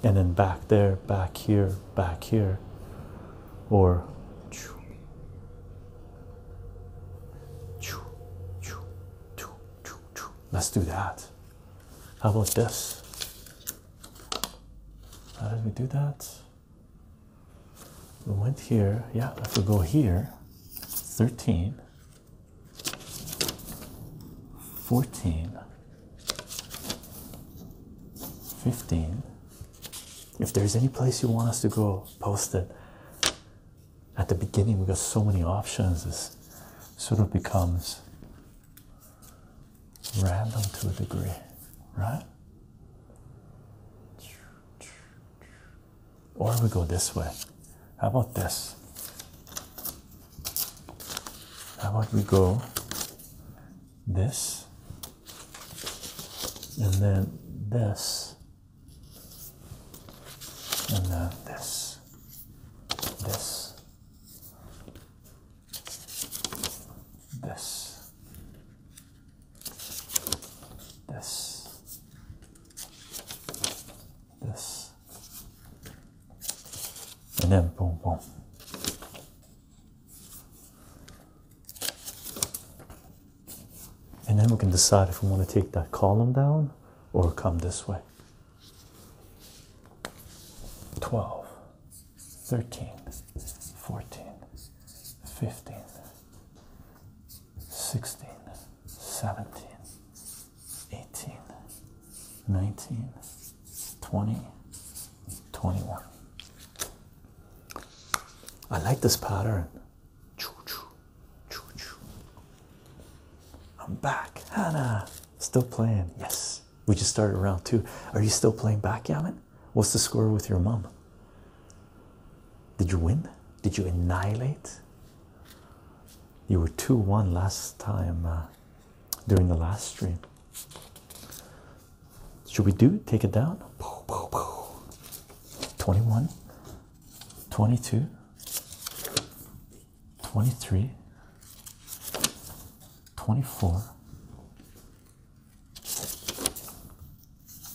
and then back there, back here, back here, or let's do that. How about this? How did we do that? We went here. Yeah, if we go here, 13, 14, 15. If there's any place you want us to go, post it. At the beginning, we got so many options. This sort of becomes random to a degree, right? Or we go this way. How about this? How about we go this and then this and then this, this, this, this, this, and then boom, boom. And then we can decide if we want to take that column down or come this way. 12 13, 14, 15, 16, 17, 18, 19, 20, 21. I like this pattern. I'm back. Hannah, still playing. Yes, we just started round two. Are you still playing backgammon? What's the score with your mom? Did you win? Did you annihilate? You were 2 1 last time uh, during the last stream. Should we do take it down? 21, 22, 23, 24,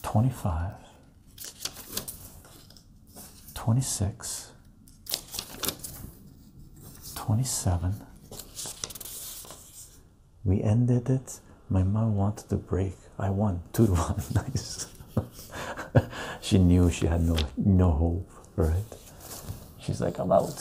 25 26 27 we ended it my mom wanted to break i won two to one nice she knew she had no no hope right she's like i'm out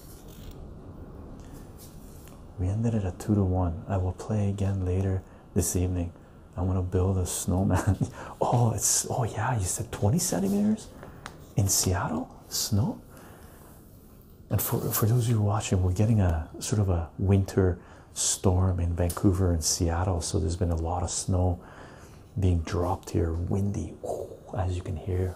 We ended it at two to one. I will play again later this evening. I want to build a snowman. oh, it's oh yeah, you said 20 centimeters in Seattle snow. And for for those of you watching, we're getting a sort of a winter storm in Vancouver and Seattle, so there's been a lot of snow being dropped here, windy, as you can hear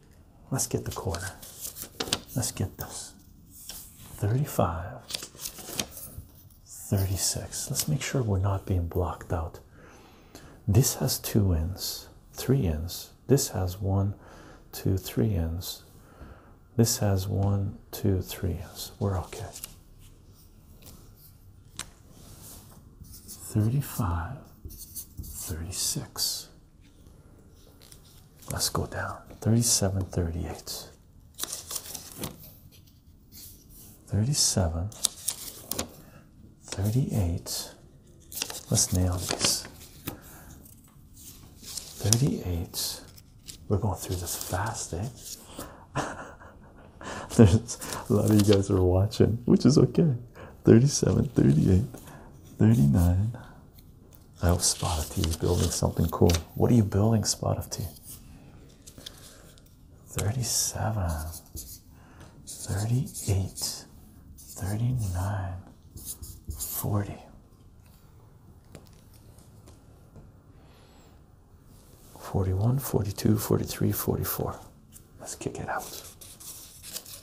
Let's get the corner. Let's get this. 35, 36. Let's make sure we're not being blocked out. This has two ends, three ends. This has one, two, three ends. This has one, two, three ends. We're okay. 35, 36. Let's go down 37 38. 37 38. Let's nail these 38. We're going through this fast, eh? There's a lot of you guys are watching, which is okay. 37, 38, 39. I hope Spot of tea building something cool. What are you building, Spot of tea? 37, 38, 39, 40. Forty one, forty two, forty three, forty four. Let's kick it out.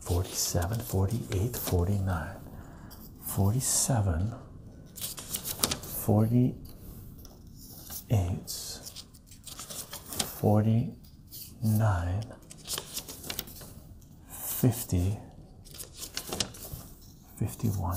47, 48, 49, 47, 48, 49, 50, 51.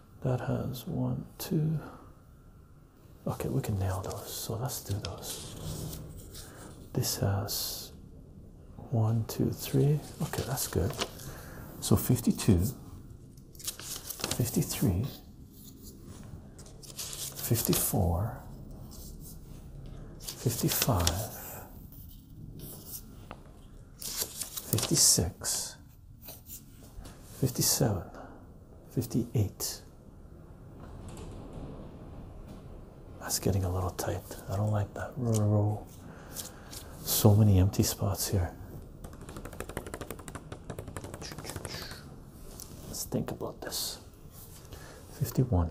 That has one, two. Okay, we can nail those. So let's do those. This has one, two, three. Okay, that's good. So 52, 53, 54, 55, 56, 57, 58. That's getting a little tight. I don't like that. So many empty spots here. Let's think about this. 51.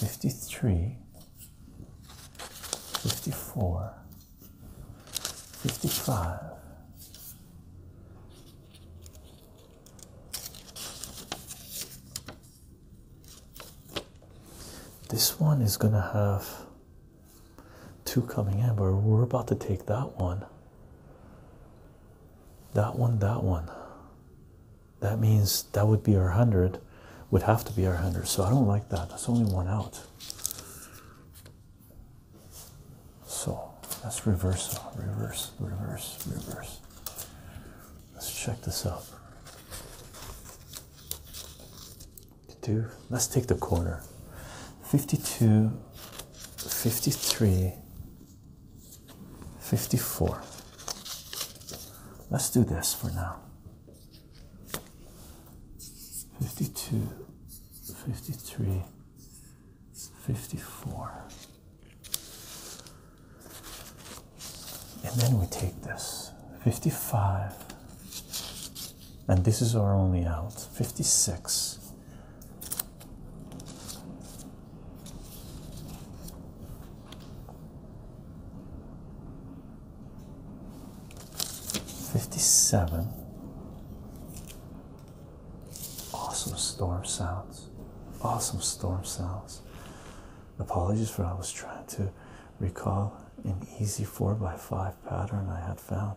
53, 54, 55, this one is going to have two coming in, but we're about to take that one. That one, that one that means that would be our 100 would have to be our 100 so i don't like that that's only one out so that's reversal reverse reverse reverse let's check this out do let's take the corner 52 53 54. Let's do this for now. 52, 53, 54. And then we take this 55. And this is our only out 56. 57 awesome storm sounds awesome storm sounds apologies for I was trying to recall an easy 4x5 pattern I had found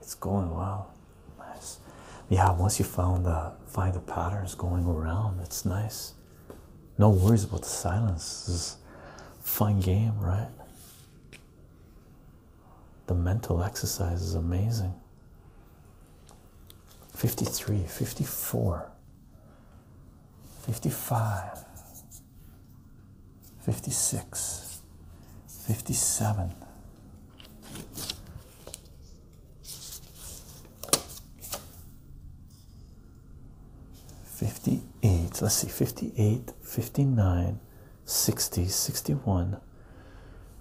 it's going well nice yeah once you find the uh, find the patterns going around it's nice no worries about the silence. This a fun game, right? The mental exercise is amazing. 53, 54, 55, 56, 57. 58 let's see 58 59 60 61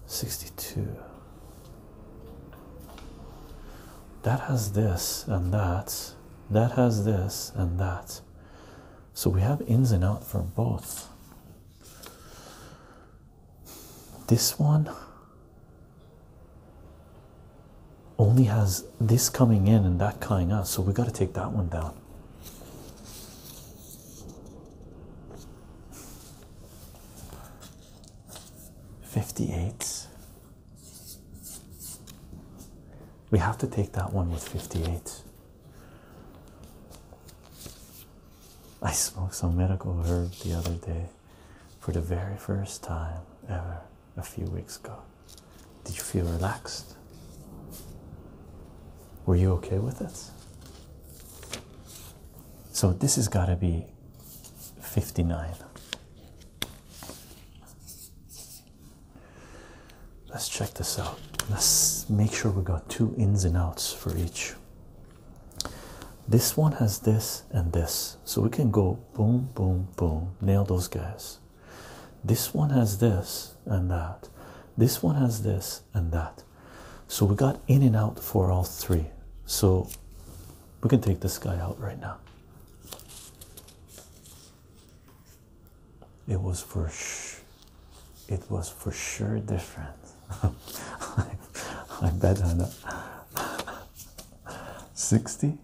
62 that has this and that that has this and that so we have ins and out for both this one only has this coming in and that coming out, so we got to take that one down. Fifty-eight. We have to take that one with fifty-eight. I smoked some miracle herb the other day for the very first time ever a few weeks ago. Did you feel relaxed? Were you okay with it? So this has got to be 59. Let's check this out. Let's make sure we got two ins and outs for each. This one has this and this, so we can go boom, boom, boom. Nail those guys. This one has this and that. This one has this and that. So we got in and out for all three. So we can take this guy out right now. It was for sh it was for sure different. I, bet on that. 60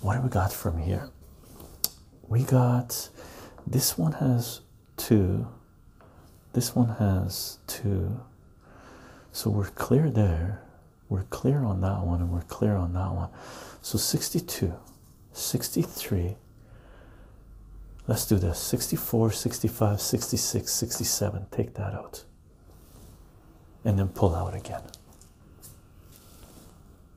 what do we got from here? We got this one has two, this one has two, so we're clear there, we're clear on that one, and we're clear on that one. So 62, 63. Let's do this 64, 65, 66, 67. Take that out and then pull out again.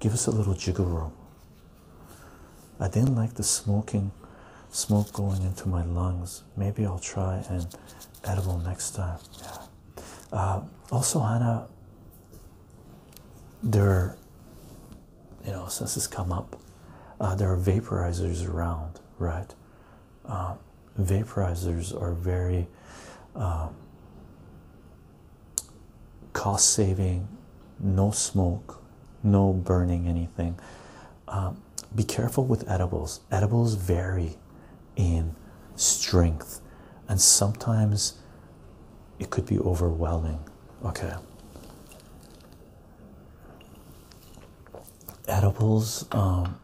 give us a little jiggle room. I didn't like the smoking, smoke going into my lungs. Maybe I'll try an edible next time. Yeah. Uh, also, Hannah, there, you know, since this come up, uh, there are vaporizers around, right? Uh, vaporizers are very cost saving, no smoke, no burning anything. Um, be careful with edibles. Edibles vary in strength, and sometimes it could be overwhelming. Okay. Edibles, um,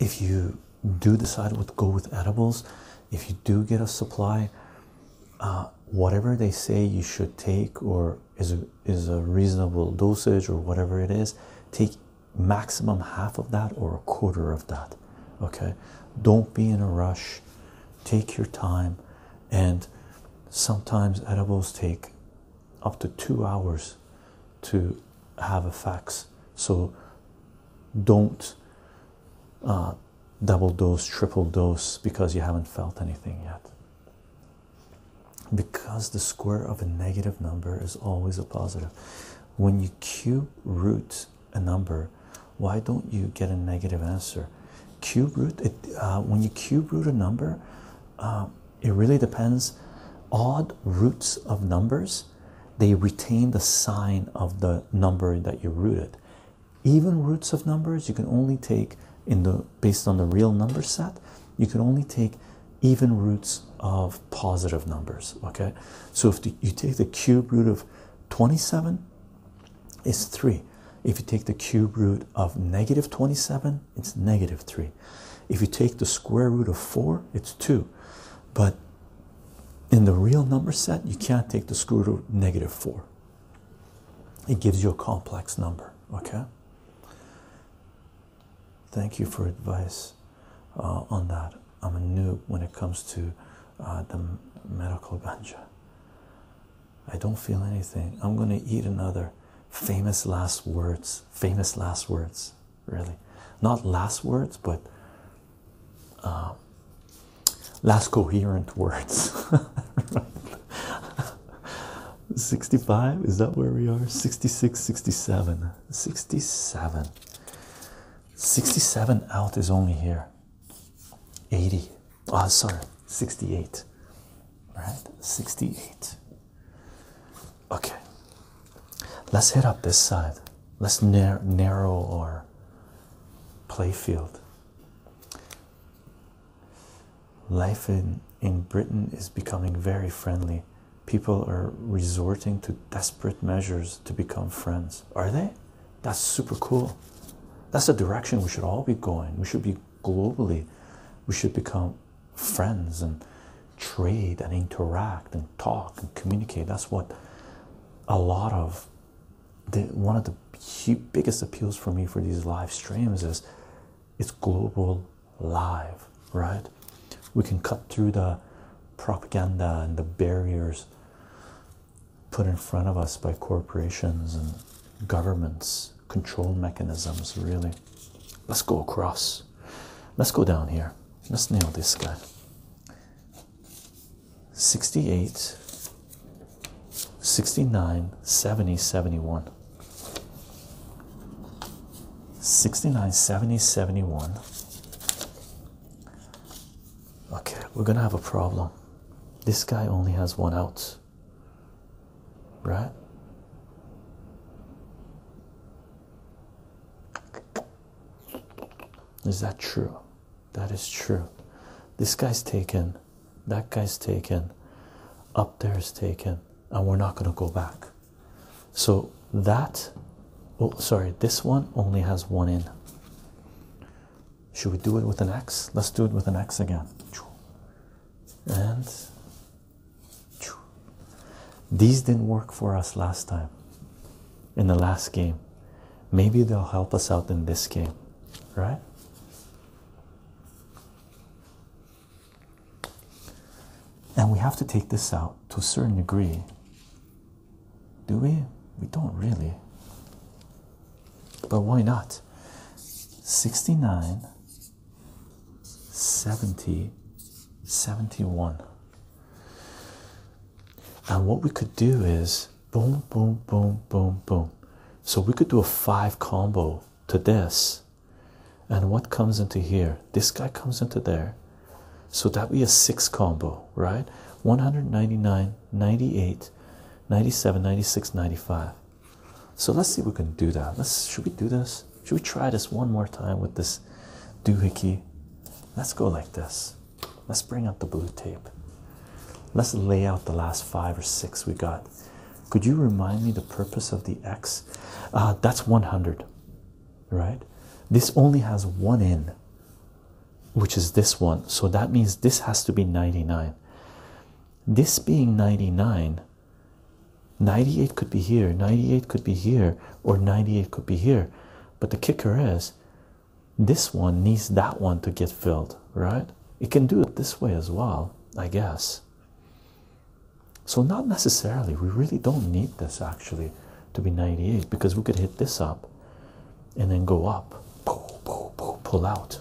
if you do decide to go with edibles, if you do get a supply uh, whatever they say you should take or is a, is a reasonable dosage or whatever it is take maximum half of that or a quarter of that okay don't be in a rush take your time and sometimes edibles take up to two hours to have effects so don't uh, double dose, triple dose because you haven't felt anything yet. Because the square of a negative number is always a positive. When you cube root a number, why don't you get a negative answer? Cube root, it, uh, when you cube root a number, uh, it really depends. Odd roots of numbers, they retain the sign of the number that you rooted even roots of numbers you can only take in the based on the real number set you can only take even roots of positive numbers okay so if you take the cube root of 27 it's 3 if you take the cube root of negative 27 it's negative 3 if you take the square root of 4 it's 2 but in the real number set you can't take the square root of negative 4 it gives you a complex number, okay? Thank you for advice uh, on that. I'm a noob when it comes to uh, the medical ganja. I don't feel anything. I'm gonna eat another. Famous last words. Famous last words. Really, not last words, but um, last coherent words. 65 is that where we are? 66, 67, 67. 67 out is only here. 80. Oh, sorry, 68. Right. 68. Okay, let's head up this side. Let's narrow our play field. Life in, in Britain is becoming very friendly. People are resorting to desperate measures to become friends. Are they? That's super cool. That's the direction we should all be going. We should be globally, we should become friends and trade and interact and talk and communicate. That's what a lot of one of the biggest appeals for me for these live streams is it's global live, right? We can cut through the propaganda and the barriers put in front of us by corporations and governments, control mechanisms, really. Let's go across. Let's go down here. Let's nail this guy. 68, 69, 70, 71. 69, 70, 71. Okay, we're gonna have a problem. This guy only has one out, right? Is that true? That is true. This guy's taken, that guy's taken, up there is taken, and we're not going to go back. So that, oh, sorry, this one only has one in. Should we do it with an X? Let's do it with an X again. And these didn't work for us last time in the last game. Maybe they'll help us out in this game, right? And we have to take this out to a certain degree. Do we? We don't really. But why not? 69, 70, 71. And what we could do is boom boom boom boom boom so we could do a five combo to this and what comes into here this guy comes into there so that would be a six combo right 199 98 97 96 95 so let's see if we can do that let's should we do this should we try this one more time with this doohickey let's go like this let's bring out the blue tape Let's lay out the last five or six we got. Could you remind me the purpose of the X? Uh, that's 100, right? This only has one in, which is this one. So that means this has to be 99. This being 99, 98 could be here, 98 could be here, or 98 could be here. But the kicker is this one needs that one to get filled, right? It can do it this way as well, I guess. So, not necessarily, we really don't need this actually to be 98 because we could hit this up and then go up, pull, pull, pull, pull out.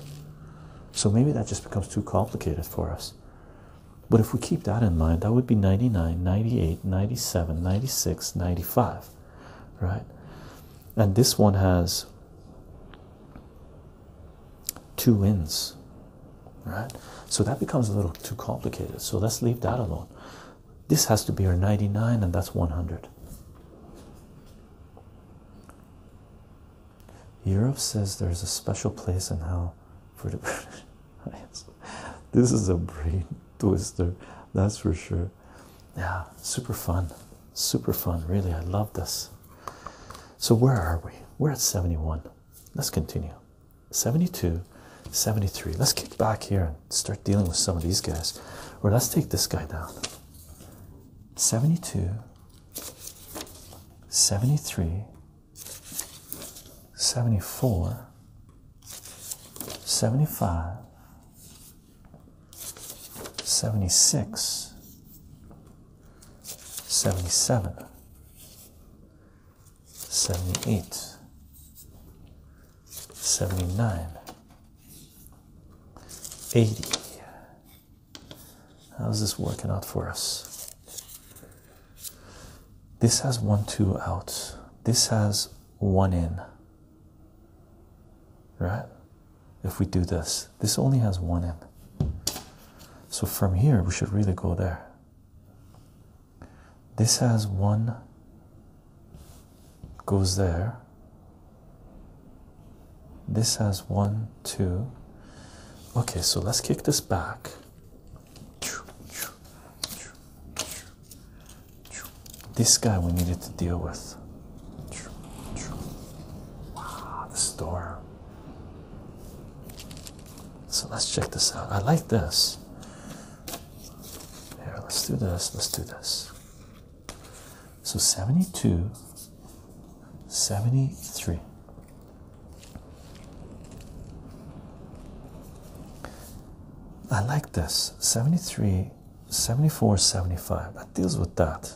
So, maybe that just becomes too complicated for us. But if we keep that in mind, that would be 99, 98, 97, 96, 95, right? And this one has two wins, right? So that becomes a little too complicated. So let's leave that alone. This has to be our 99, and that's 100. Europe says there's a special place in hell for the British. this is a brain twister, that's for sure. Yeah, super fun. Super fun, really. I love this. So, where are we? We're at 71. Let's continue. 72, 73. Let's kick back here and start dealing with some of these guys. Or let's take this guy down. 72, 73, 74, 75, 76, 77 78 79 80 how's this working out for us this has one two out this has one in right if we do this. This only has one end. So from here, we should really go there. This has one, goes there. This has one, two. Okay, so let's kick this back. This guy we needed to deal with. Wow, the store. So let's check this out. I like this. Here, let's do this. Let's do this. So 72, 73. I like this 73, 74, 75. That deals with that.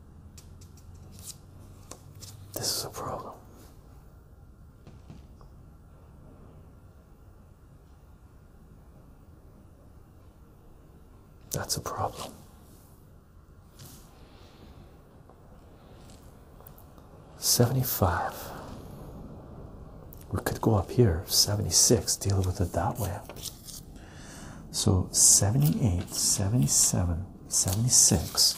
This is a problem. That's a problem. Seventy five. We could go up here, seventy six, deal with it that way. So 78, 77, 76.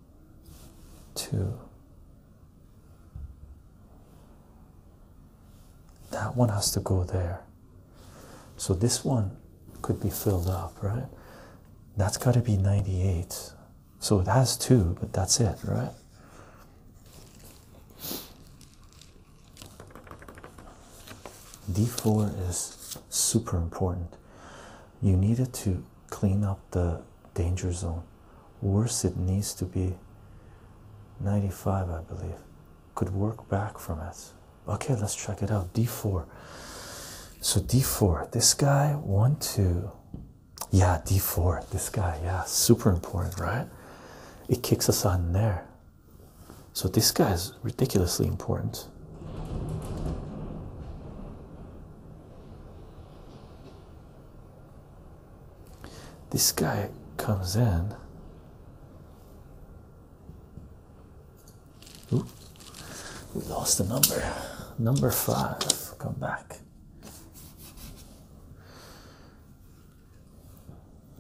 two. That one has to go there. So this one could be filled up, right? That's got to be 98. So it has two, but that's it, right? D4 is super important you needed to clean up the danger zone. Worse, it needs to be 95, I believe. Could work back from it. Okay, let's check it out. D4. So D4, this guy, one, two. Yeah, D4, this guy, yeah, super important, right? It kicks us on there. So this guy is ridiculously important. This guy comes in. Ooh, we lost the number. Number five, come back.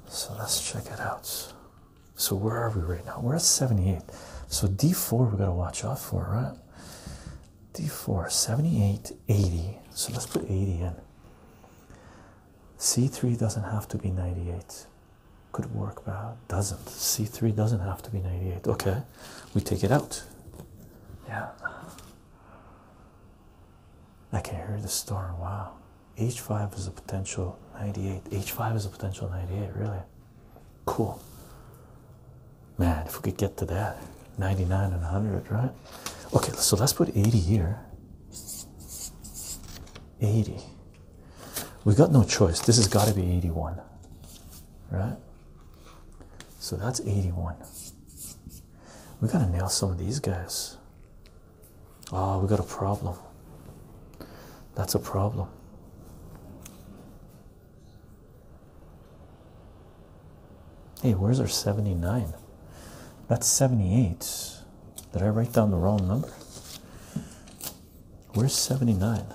So let's check it out. So where are we right now? We're at 78. So D4 we gotta watch out for, right? d4 78 80 so let's put 80 in c3 doesn't have to be 98 could work but doesn't c3 doesn't have to be 98 okay we take it out yeah i can hear the storm wow h5 is a potential 98 h5 is a potential 98 really Cool. Man, if we could get to that 99 and 100, right? Okay, so let's put 80 here. 80. We got no choice. This has got to be 81, right? So that's 81. We got to nail some of these guys. Oh, we got a problem. That's a problem. Hey, where's our 79? That's 78. Did I write down the wrong number? Where's 79?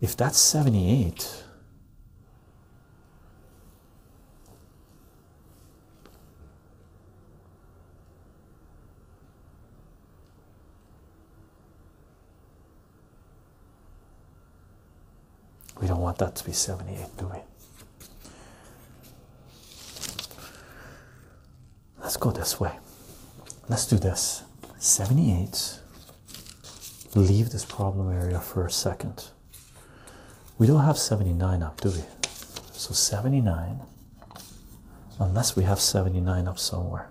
If that's 78, we don't want that to be 78, do we? Let's go this way. Let's do this. 78. Leave this problem area for a second. We don't have 79 up, do we? So 79, unless we have 79 up somewhere.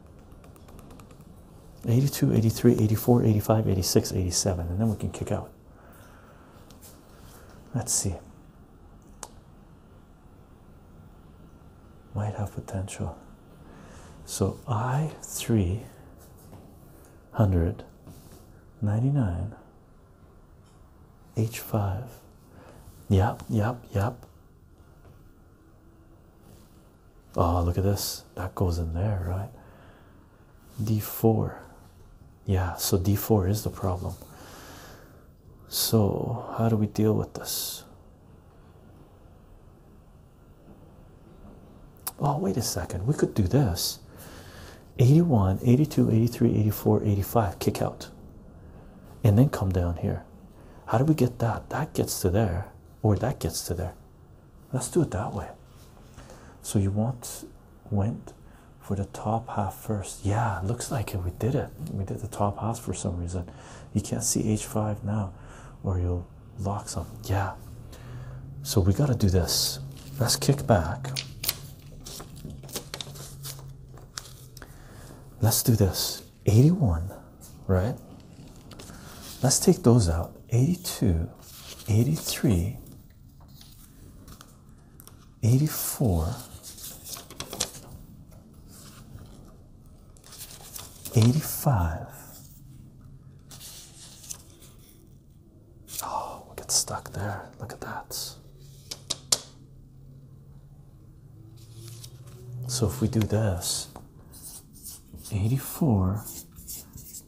82, 83, 84, 85, 86, 87, and then we can kick out. Let's see. Might have potential. So I three hundred ninety nine H five. Yep, yep, yep. Oh, look at this. That goes in there, right? D4. Yeah, so D4 is the problem. So, how do we deal with this? Oh, wait a second. We could do this 81, 82, 83, 84, 85, kick out, and then come down here. How do we get that? That gets to there or that gets to there. Let's do it that way. So you want went for the top half first. Yeah, looks like it. We did it. We did the top half for some reason. You can't see h5 now, or you'll lock some. Yeah. So we got to do this. Let's kick back. Let's do this. 81, right? Let's take those out 82, 83, 84, 85. Oh, we get stuck there. Look at that. So if we do this, 84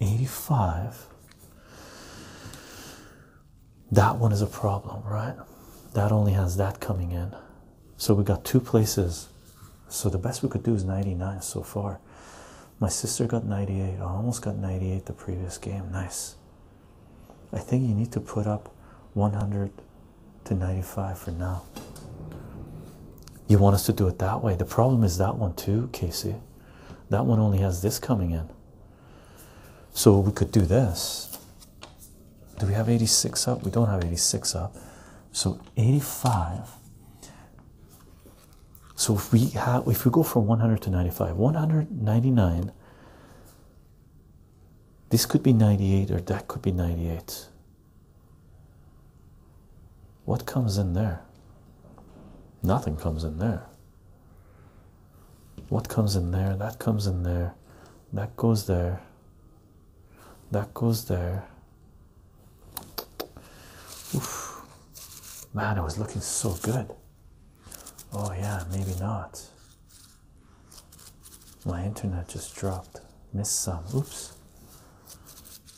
85 that one is a problem right that only has that coming in so we got two places so the best we could do is 99 so far my sister got 98 i almost got 98 the previous game nice i think you need to put up 100 to 95 for now you want us to do it that way. The problem is that one too, Casey. That one only has this coming in. So we could do this. Do we have 86 up? We don't have 86 up. So 85. So if we have if we go from 100 to 95, 199 this could be 98 or that could be 98 what comes in there? Nothing comes in there. What comes in there? That comes in there. That goes there. That goes there. Oof. Man, it was looking so good. Oh, yeah, maybe not. My internet just dropped. Missed some. Oops.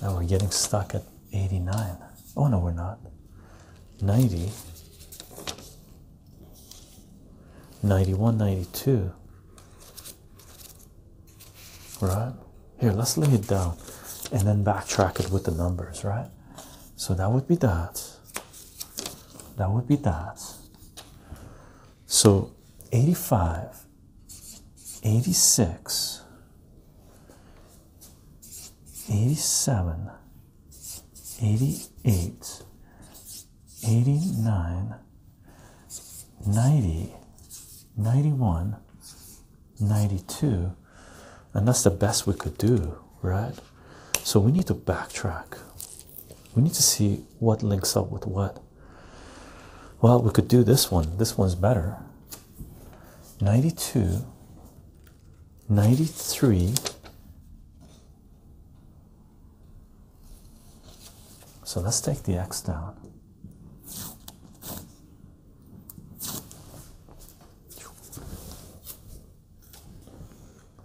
Now we're getting stuck at 89. Oh no, we're not. 90, 91, 92. Right? Here, let's lay it down and then backtrack it with the numbers, right? So that would be that. That would be that. So 85, 86, 87, 88, 89, 90, 91, 92. And that's the best we could do, right? So we need to backtrack. We need to see what links up with what. Well, we could do this one. This one's better. 92, 93. So let's take the X down.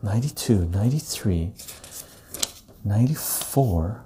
Ninety-two. Ninety-three. Ninety-four.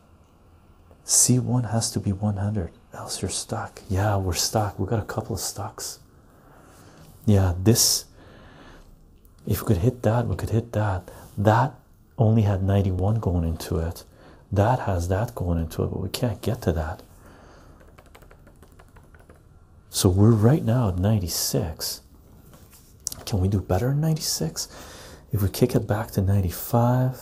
C1 has to be 100, else you're stuck. Yeah, we're stuck. We got a couple of stocks. Yeah, this, if we could hit that, we could hit that. That only had 91 going into it. That has that going into it, but we can't get to that. So we're right now at 96. Can we do better in 96? If we kick it back to 95,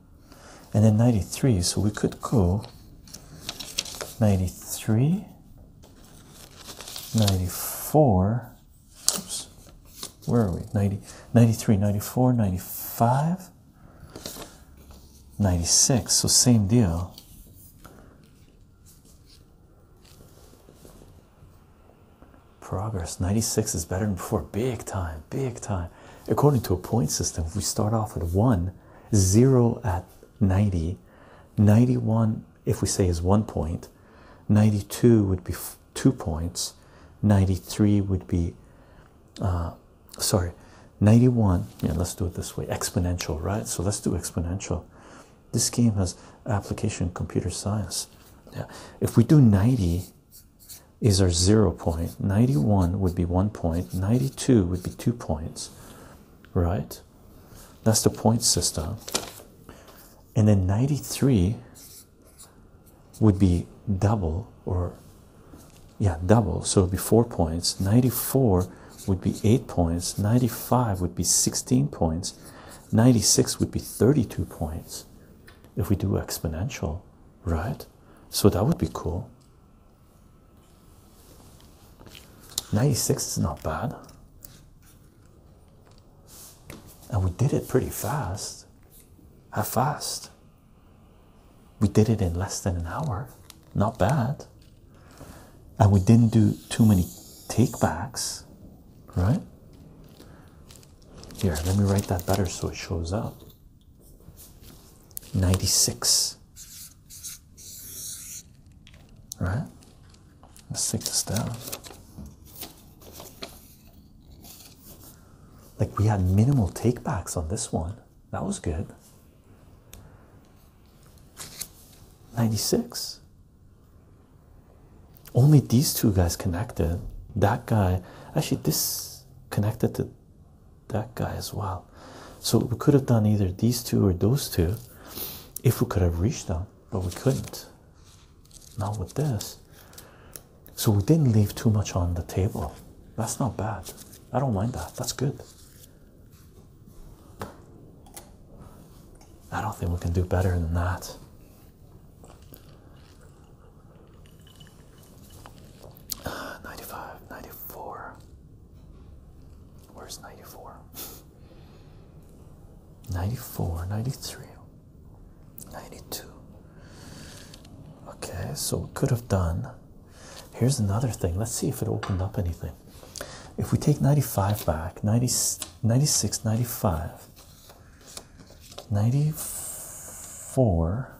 and then 93 so we could go 93 94 where are we 90 93 94 95 96 so same deal progress 96 is better than before big time big time according to a point system if we start off at one 0 at 90, 91 if we say is one point, 92 would be two points, 93 would be, uh, sorry, 91. Yeah, let's do it this way exponential, right? So let's do exponential. This game has application in computer science. Yeah, if we do 90 is our zero point, 91 would be one point, 90. Two would be two points, right? That's the point system. And then 93 would be double or yeah, double. So it would be four points. 94 would be eight points. 95 would be 16 points. 96 would be 32 points if we do exponential, right? So that would be cool. 96 is not bad. And we did it pretty fast. How fast? We did it in less than an hour. Not bad. And we didn't do too many takebacks, right? Here, let me write that better so it shows up. 96. Right? Let's take this down. Like we had minimal takebacks on this one. That was good. 96. Only these two guys connected. That guy, actually, this connected to that guy as well. So we could have done either these two or those two if we could have reached them, but we couldn't. Not with this. So we didn't leave too much on the table. That's not bad. I don't mind that. That's good. I don't think we can do better than that. Uh, 95, 94. Where's 94? 94, 93, 92. Okay, so could have done. Here's another thing. Let's see if it opened up anything. If we take 95 back, 90, 96, 95, 94.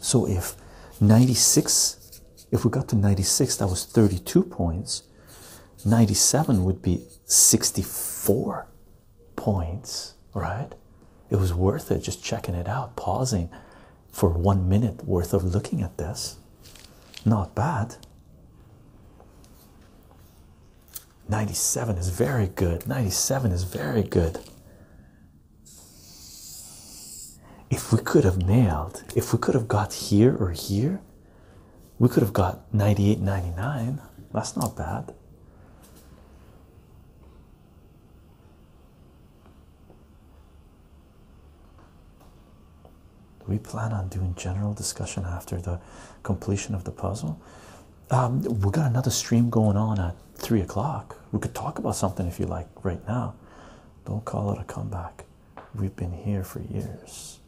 So if 96, if we got to 96, that was 32 points. 97 would be 64 points, right? It was worth it just checking it out, pausing for one minute worth of looking at this. Not bad. 97 is very good. 97 is very good. If we could have nailed, if we could have got here or here, we could have got 98.99. That's not bad. We plan on doing general discussion after the completion of the puzzle. Um, we got another stream going on at three o'clock. We could talk about something if you like right now. Don't call it a comeback. We've been here for years.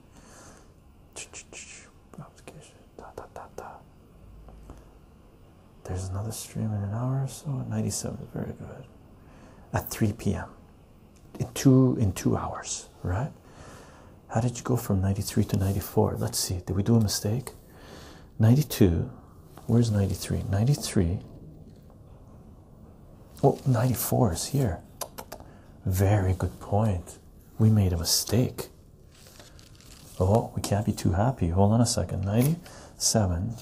There's another stream in an hour or so Ninety-seven is Very good. At 3 p.m. In two in two hours, right? How did you go from 93 to 94? Let's see. Did we do a mistake? 92 where's 93 93 oh 94 is here very good point we made a mistake oh we can't be too happy hold on a second 97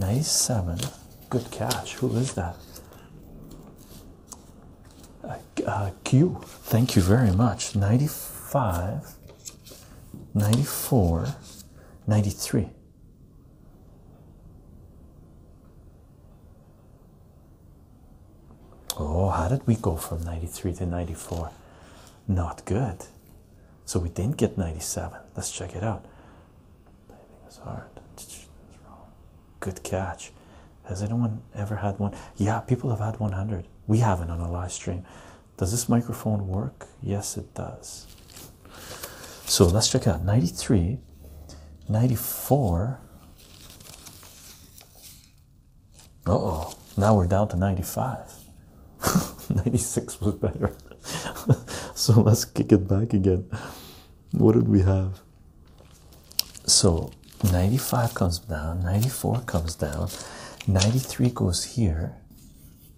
Nice seven. good catch who is that uh, q thank you very much 95 94, 93. Oh, how did we go from 93 to 94? Not good. So we didn't get 97. Let's check it out. Good catch. Has anyone ever had one? Yeah, people have had 100. We haven't on a live stream. Does this microphone work? Yes, it does. So let's check out 93, 94. oh, now we're down to 95. 96 was better. so let's kick it back again. What did we have? So 95 comes down, 94 comes down, 93 goes here,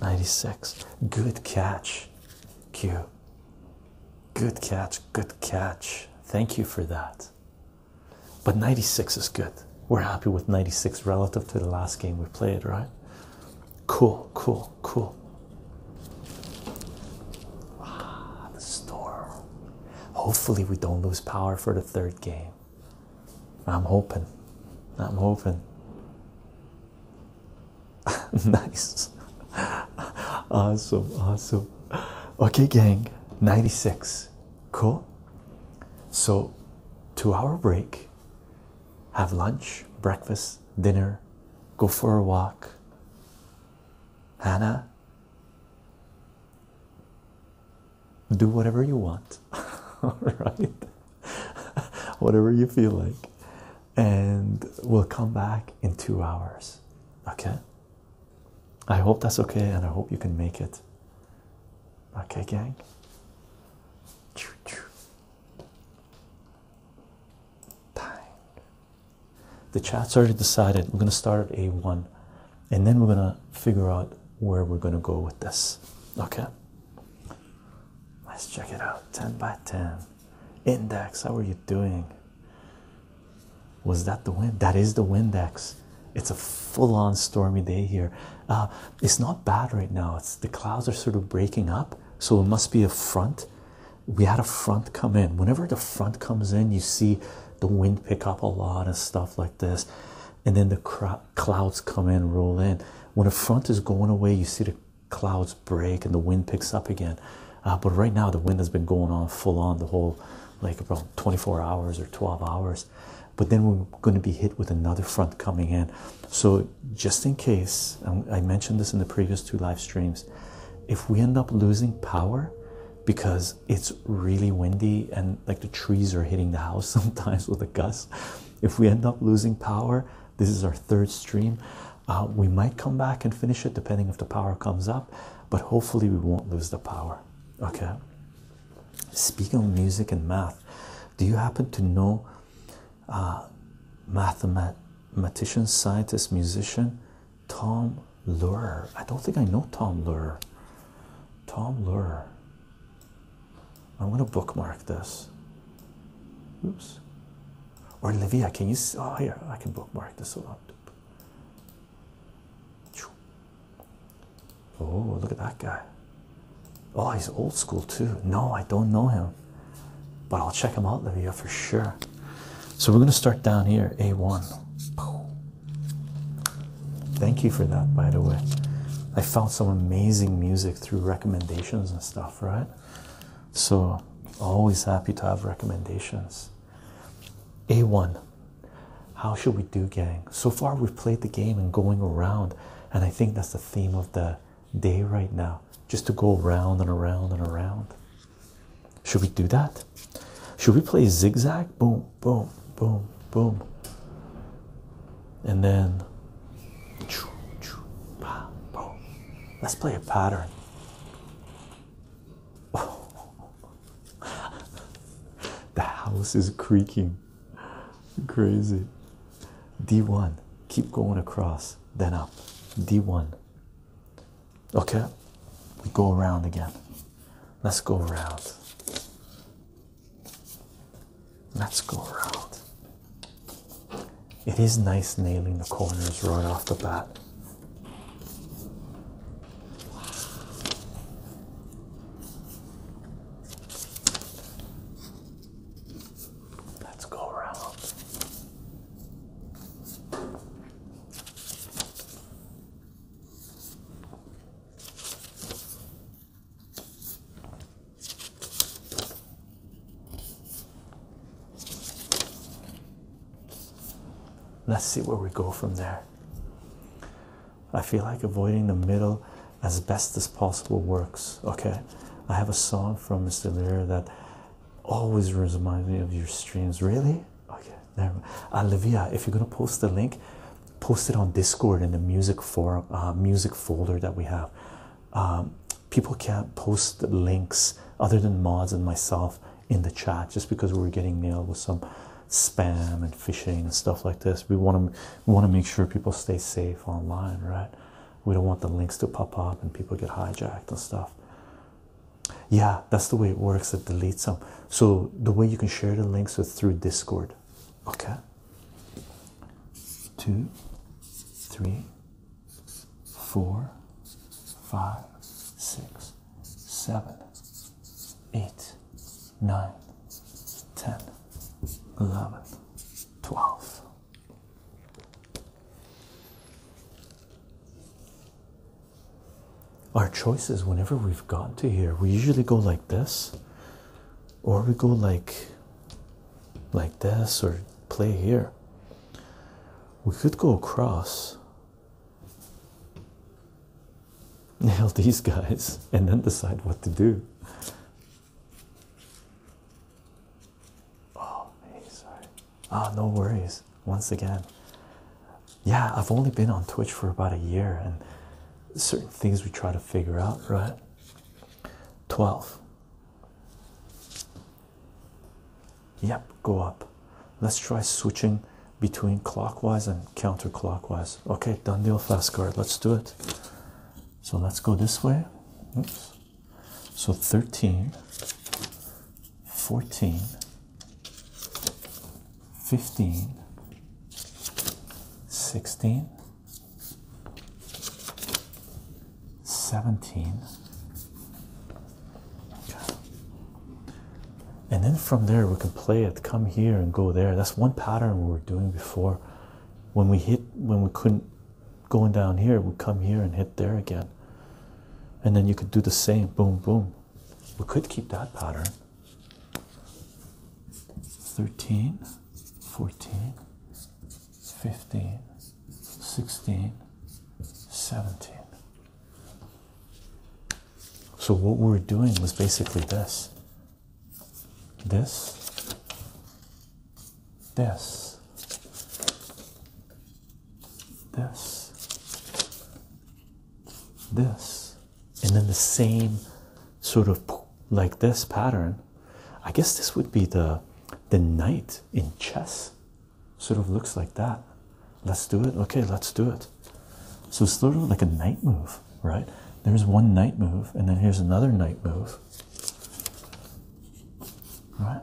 96 good catch q good catch good catch thank you for that but 96 is good we're happy with 96 relative to the last game we played right cool cool cool ah the storm hopefully we don't lose power for the third game i'm hoping i'm hoping nice awesome awesome okay gang 96 cool so two hour break have lunch breakfast dinner go for a walk hannah do whatever you want all right? Whatever you feel like, and we'll come back in two hours, okay? I hope that's okay, and I hope you can make it, okay, gang. The chat's already decided. We're gonna start at A1 and then we're gonna figure out where we're gonna go with this. Okay. Let's check it out. 10 by 10. Index, how are you doing? Was that the wind? That is the Windex. It's a full on stormy day here. Uh, it's not bad right now. It's the clouds are sort of breaking up, so it must be a front. We had a front come in. Whenever the front comes in, you see the wind pick up a lot and stuff like this, and then the clouds come in, roll in. When a front is going away, you see the clouds break and the wind picks up again. Uh, but right now, the wind has been going on full on the whole like about 24 hours or 12 hours. But then we're going to be hit with another front coming in. So, just in case, um, I mentioned this in the previous two live streams, if we end up losing power because it's really windy and like the trees are hitting the house sometimes with a gust, if we end up losing power, this is our third stream. Uh, we might come back and finish it depending if the power comes up, but hopefully, we won't lose the power. Okay. Speaking of music and math, do you happen to know uh, mathematician, scientist, musician Tom Lurer? I don't think I know Tom Lurer. Tom Lurer. I am going to bookmark this. Oops. Or Livia, can you Oh, here, I can bookmark this one. Oh, look at that guy. Oh, he's old school too. No, I don't know him, but I'll check him out, Livia, for sure. So we're going to start down here, A1. Thank you for that, by the way. I found some amazing music through recommendations and stuff, right? So, always happy to have recommendations. A1. How should we do, gang? So far, we've played the game and going around, and I think that's the theme of the day right now just to go around and around and around. Should we do that? Should we play zigzag? Boom, boom, boom, boom and then let's play a pattern. the house is creaking. Crazy. D1. Keep going across, then up. D1. Okay. We go around again. Let's go around. Let's go around. It is nice nailing the corners right off the bat. Let's go around. Let's see where we go from there. I feel like avoiding the middle as best as possible works. Okay, I have a song from Mr. Lear that always reminds me of your streams. Really? Okay, there. mind. Olivia, if you're gonna post the link, post it on Discord in the music forum, uh, music folder that we have. Um, people can't post links other than mods and myself in the chat just because we are getting nailed with some spam and phishing and stuff like this. We want to want to make sure people stay safe online, right? We don't want the links to pop up and people get hijacked and stuff. Yeah, that's the way it works. It deletes them. So the way you can share the links is through Discord. Okay. Two, three, four, five, six, seven, eight, nine, ten, eleven, twelve. Our choices, whenever we've gotten to here, we usually go like this, or we go like like this or play here. We could go across, nail these guys, and then decide what to do. Oh, sorry. Ah, no worries. Once again, yeah, I've only been on Twitch for about a year, and certain things we try to figure out, right? 12. Yep, go up. Let's try switching between clockwise and counterclockwise. Okay, done deal, fast card. Let's do it. So let's go this way. Oops. So 13, 14, 15, 16, 17. And then from there, we can play it, come here and go there. That's one pattern we were doing before. When we hit, when we couldn't going down here, we come here and hit there again. And then you could do the same boom, boom. We could keep that pattern. 13, 14, 15, 16, 17. So, what we are doing was basically this this, this, this, this, and then the same sort of like this pattern. I guess this would be the the knight in chess sort of looks like that. Let's do it. Okay, let's do it. So it's sort of like a knight move, right? There's one knight move, and then here's another knight move. Right?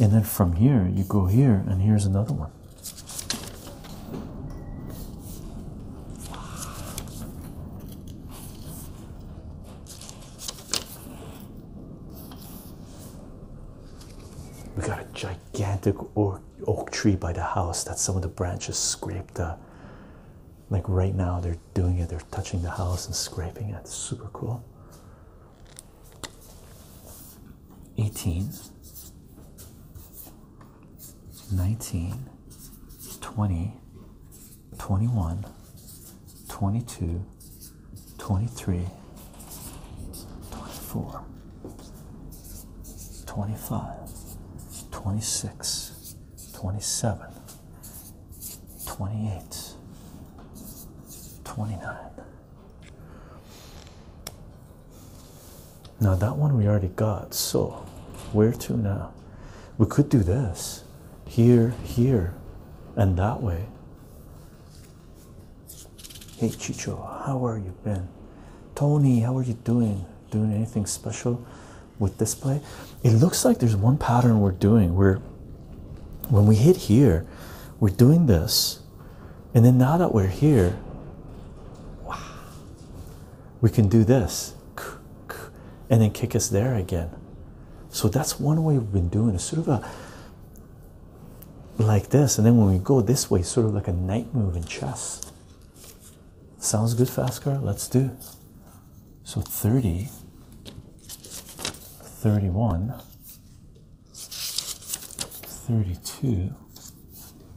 And then from here, you go here, and here's another one. We got a gigantic oak, tree by the house that some of the branches scraped. Uh, like right now, they're doing it, they're touching the house and scraping it. It's super cool. 18 19, 20, 21, 22, 23, 24, 25, 26, 27, 28, 29. Now that one we already got, so where to now? We could do this here, here, and that way. Hey Chicho, how are you been? Tony, how are you doing? Doing anything special with this play? It looks like there's one pattern we're doing. We're when we hit here, we're doing this, and then now that we're here, we can do this and then kick us there again. So that's one way we've been doing it, sort of a like this, and then when we go this way, sort of like a knight move in chess. Sounds good, fast car? Let's do. So 30, 31, 32,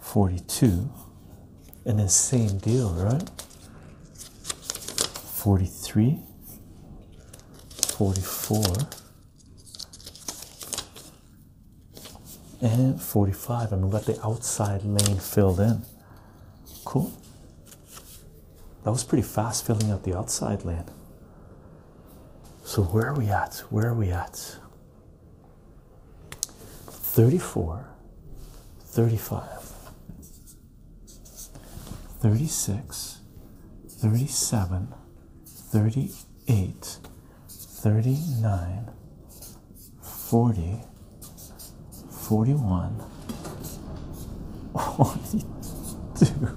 42 and then same deal right 43 44 and 45 and we got the outside lane filled in cool that was pretty fast filling out the outside lane so where are we at where are we at 34 35 36 37 38 39 40 41 42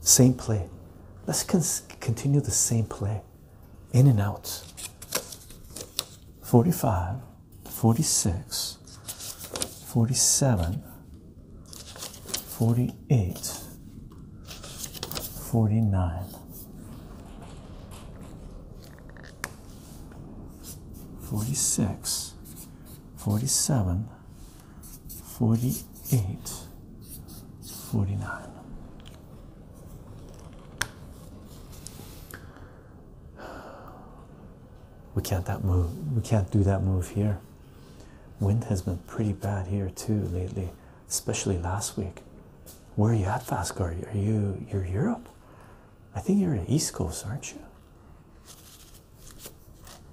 Same play. Let's continue the same play. In and out. 45, 46, 47, 48, 49. Forty six, forty seven, 48, 49. We can't that move. We can't do that move here. Wind has been pretty bad here too lately, especially last week. Where are you at, Vascar? Are you you're Europe? I think you're in East Coast, aren't you?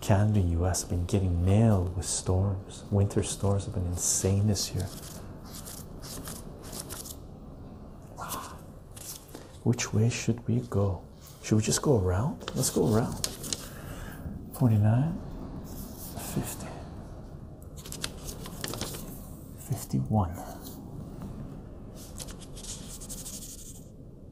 Canada, US have been getting nailed with storms. Winter storms have been insane this year. Ah. Which way should we go? Should we just go around? Let's go around. 49, 50, 51,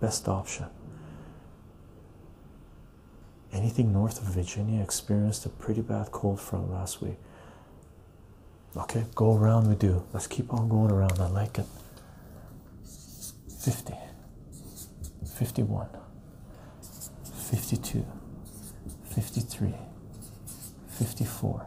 best option. Anything north of Virginia experienced a pretty bad cold front last week. Okay, go around we do. Let's keep on going around. I like it. 50, 51, 52, 53, 54,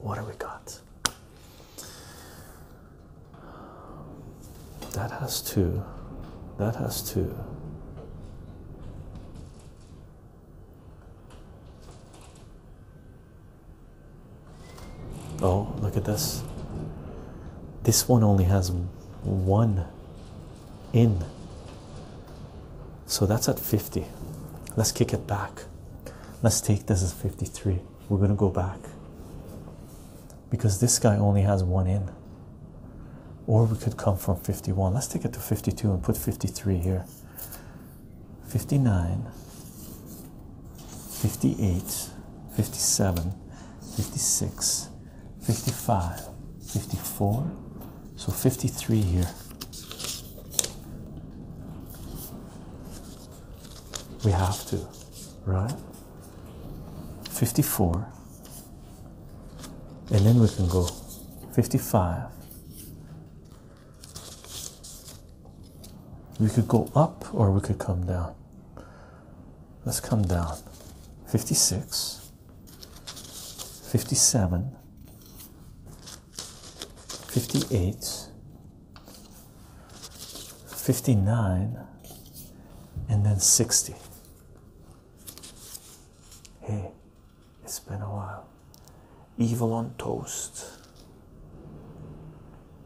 What do we got? That has two. That has two. Oh, look at this. This one only has one in. So that's at 50. Let's kick it back. Let's take this as 53. We're going to go back because this guy only has one in. Or we could come from 51. Let's take it to 52 and put 53 here. 59, 58, 57, 56, 55, 54. So 53 here. We have to, right? 54. And then we can go 55. We could go up or we could come down. Let's come down. 56, 57, 58, 59, and then 60. Hey, it's been a while. Evil on Toast.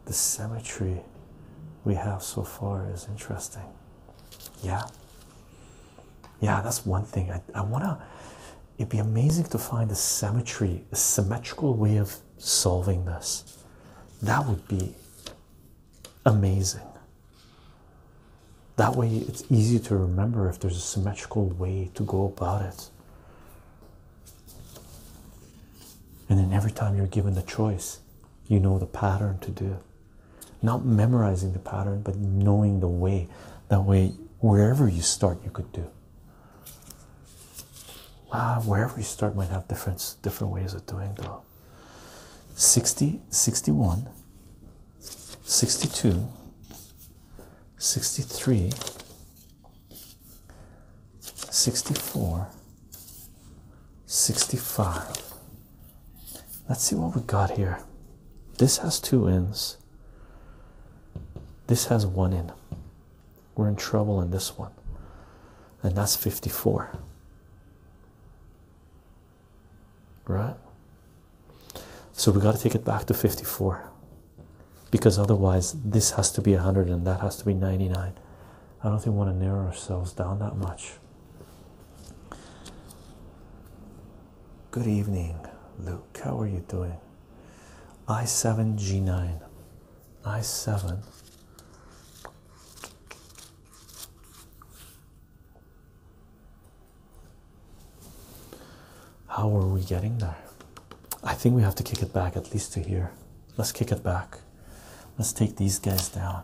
The cemetery we have so far is interesting. Yeah. Yeah, that's one thing. I, I want to it'd be amazing to find a symmetry, a symmetrical way of solving this. That would be amazing. That way, it's easy to remember if there's a symmetrical way to go about it. And then every time you're given the choice, you know the pattern to do. Not memorizing the pattern, but knowing the way. That way, wherever you start, you could do. Wow, wherever you start might have different different ways of doing though. 60, 61, 62, 63, 64, 65. Let's see what we got here. This has two ends this. has one in. We're in trouble in this one. And that's 54. Right? So we got to take it back to 54. Because otherwise, this has to be 100 and that has to be 99. I don't think we want to narrow ourselves down that much. Good evening, Luke. How are you doing? i7 g9 i7 how are we getting there? I think we have to kick it back at least to here. Let's kick it back. Let's take these guys down.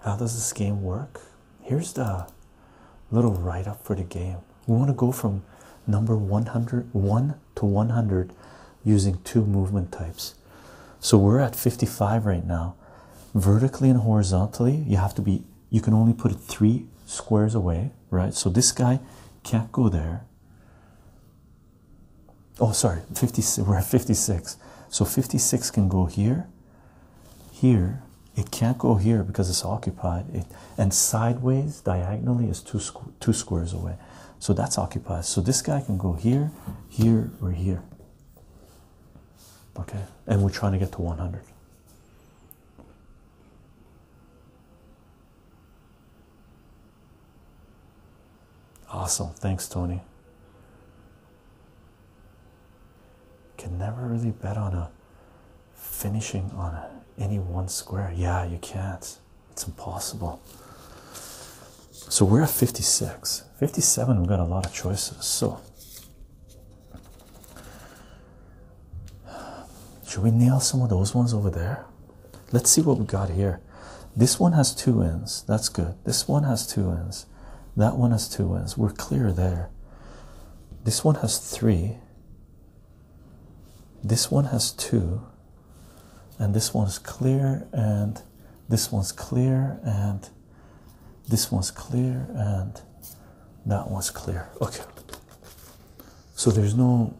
How does this game work? Here's the little write up for the game. We want to go from number 100, 1 to 100 using two movement types. So we're at 55 right now. Vertically and horizontally, you have to be, you can only put it three squares away, right? So this guy can't go there. Oh, sorry, 56. We're at 56. So 56 can go here, here. It can't go here because it's occupied. It and sideways diagonally is two two squares away. So that's occupied. So this guy can go here, here, or here. Okay, and we're trying to get to 100. Awesome. Thanks, Tony. Can never really bet on a finishing on any one square. Yeah, you can't. It's impossible. So we're at 56. 57, we've got a lot of choices. So should we nail some of those ones over there? Let's see what we got here. This one has two ends. That's good. This one has two ends. That one has two ends. We're clear there. This one has three. This one has two. And this one's clear, and this one's clear, and this one's clear, and that one's clear. Okay. So there's no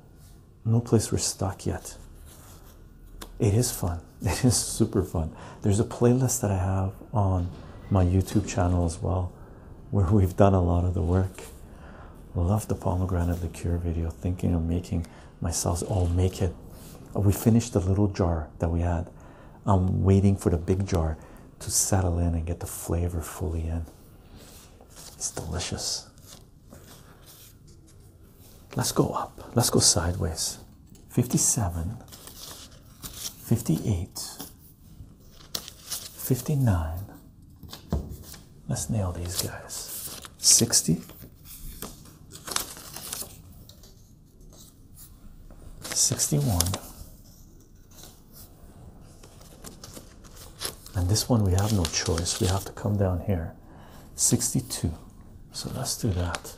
no place we're stuck yet. It is fun. it is super fun. There's a playlist that I have on my YouTube channel as well, where we've done a lot of the work. Love the pomegranate liqueur video. Thinking of making myself, all make it. We finished the little jar that we had. I'm waiting for the big jar to settle in and get the flavor fully in. It's delicious let's go up, let's go sideways 57, 58, 59. Let's nail these guys 60, 61. And this one we have no choice, we have to come down here 62. So let's do that.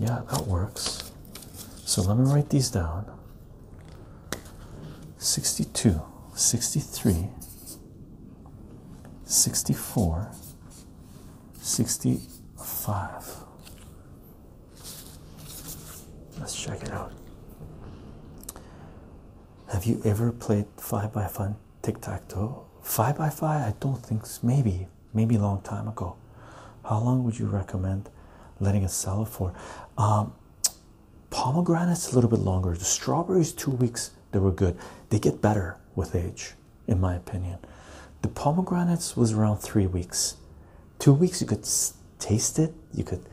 Yeah, that works. So let me write these down 62, 63, 64, 65. Let's check it out. Have you ever played 5 by 5 tic-tac-toe five by five i don't think maybe maybe a long time ago how long would you recommend letting it sell for um, pomegranates a little bit longer the strawberries two weeks they were good they get better with age in my opinion the pomegranates was around three weeks two weeks you could taste it you could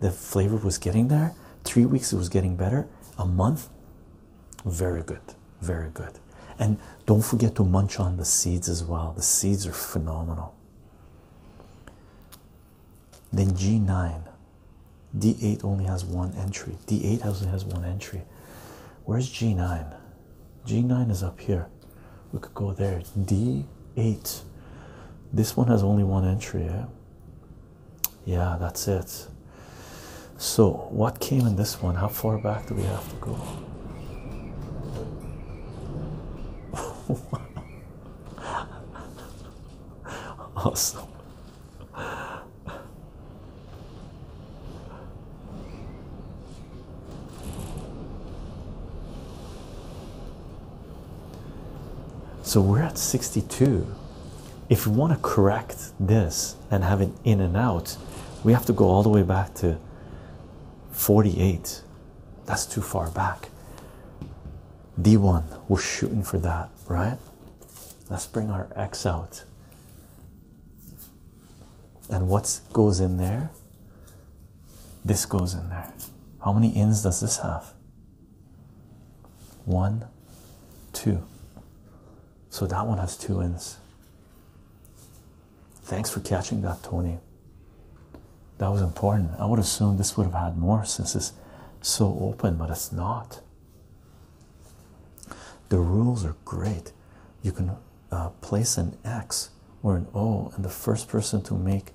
the flavor was getting there three weeks it was getting better a month very good, very good. And don't forget to munch on the seeds as well. The seeds are phenomenal. Then G9. D8 only has one entry. D8 only has one entry. Where's G9? G9 is up here. We could go there. D8. This one has only one entry. Yeah? yeah that's it so what came in this one how far back do we have to go awesome so we're at 62 if you want to correct this and have it in and out, we have to go all the way back to 48. That's too far back. D1, we're shooting for that, right? Let's bring our X out. And what goes in there? This goes in there. How many ins does this have? One, two. So that one has two ends. Thanks for catching that, Tony. That was important. I would assume this would have had more since it's so open, but it's not. The rules are great. You can uh, place an X or an O and the first person to make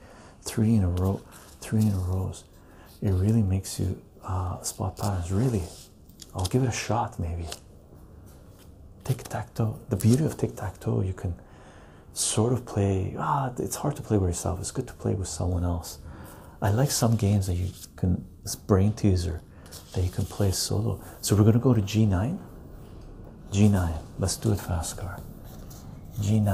three in a row, three in a row it really makes you uh, spot patterns really i'll give it a shot maybe tic-tac-toe the beauty of tic-tac-toe you can sort of play ah it's hard to play by yourself it's good to play with someone else i like some games that you can It's brain teaser that you can play solo so we're going to go to g9 g9 let's do it fast car g9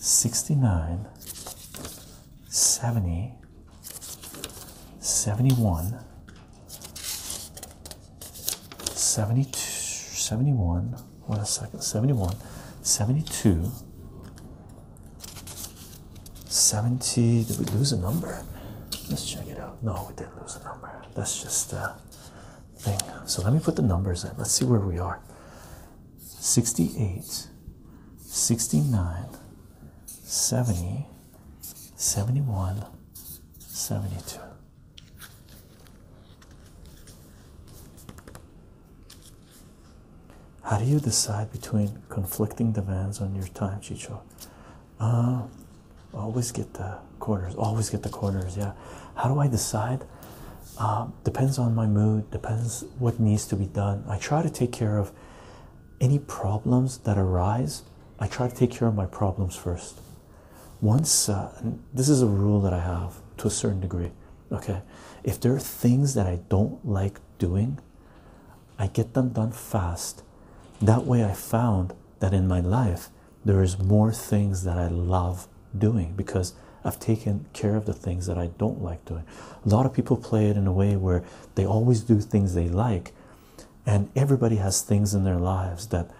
69 70 71 72 71 what a second 71 72 70 did we lose a number let's check it out no we didn't lose a number that's just a thing so let me put the numbers in let's see where we are 68, 69, 70, 71, 72. How do you decide between conflicting demands on your time, Chicho? Uh, always get the quarters, always get the quarters, yeah. How do I decide? Uh, depends on my mood depends what needs to be done i try to take care of any problems that arise i try to take care of my problems first once uh, this is a rule that i have to a certain degree okay if there are things that i don't like doing i get them done fast that way i found that in my life there is more things that i love doing because I've taken care of the things that I don't like doing. A lot of people play it in a way where they always do things they like, and everybody has things in their lives that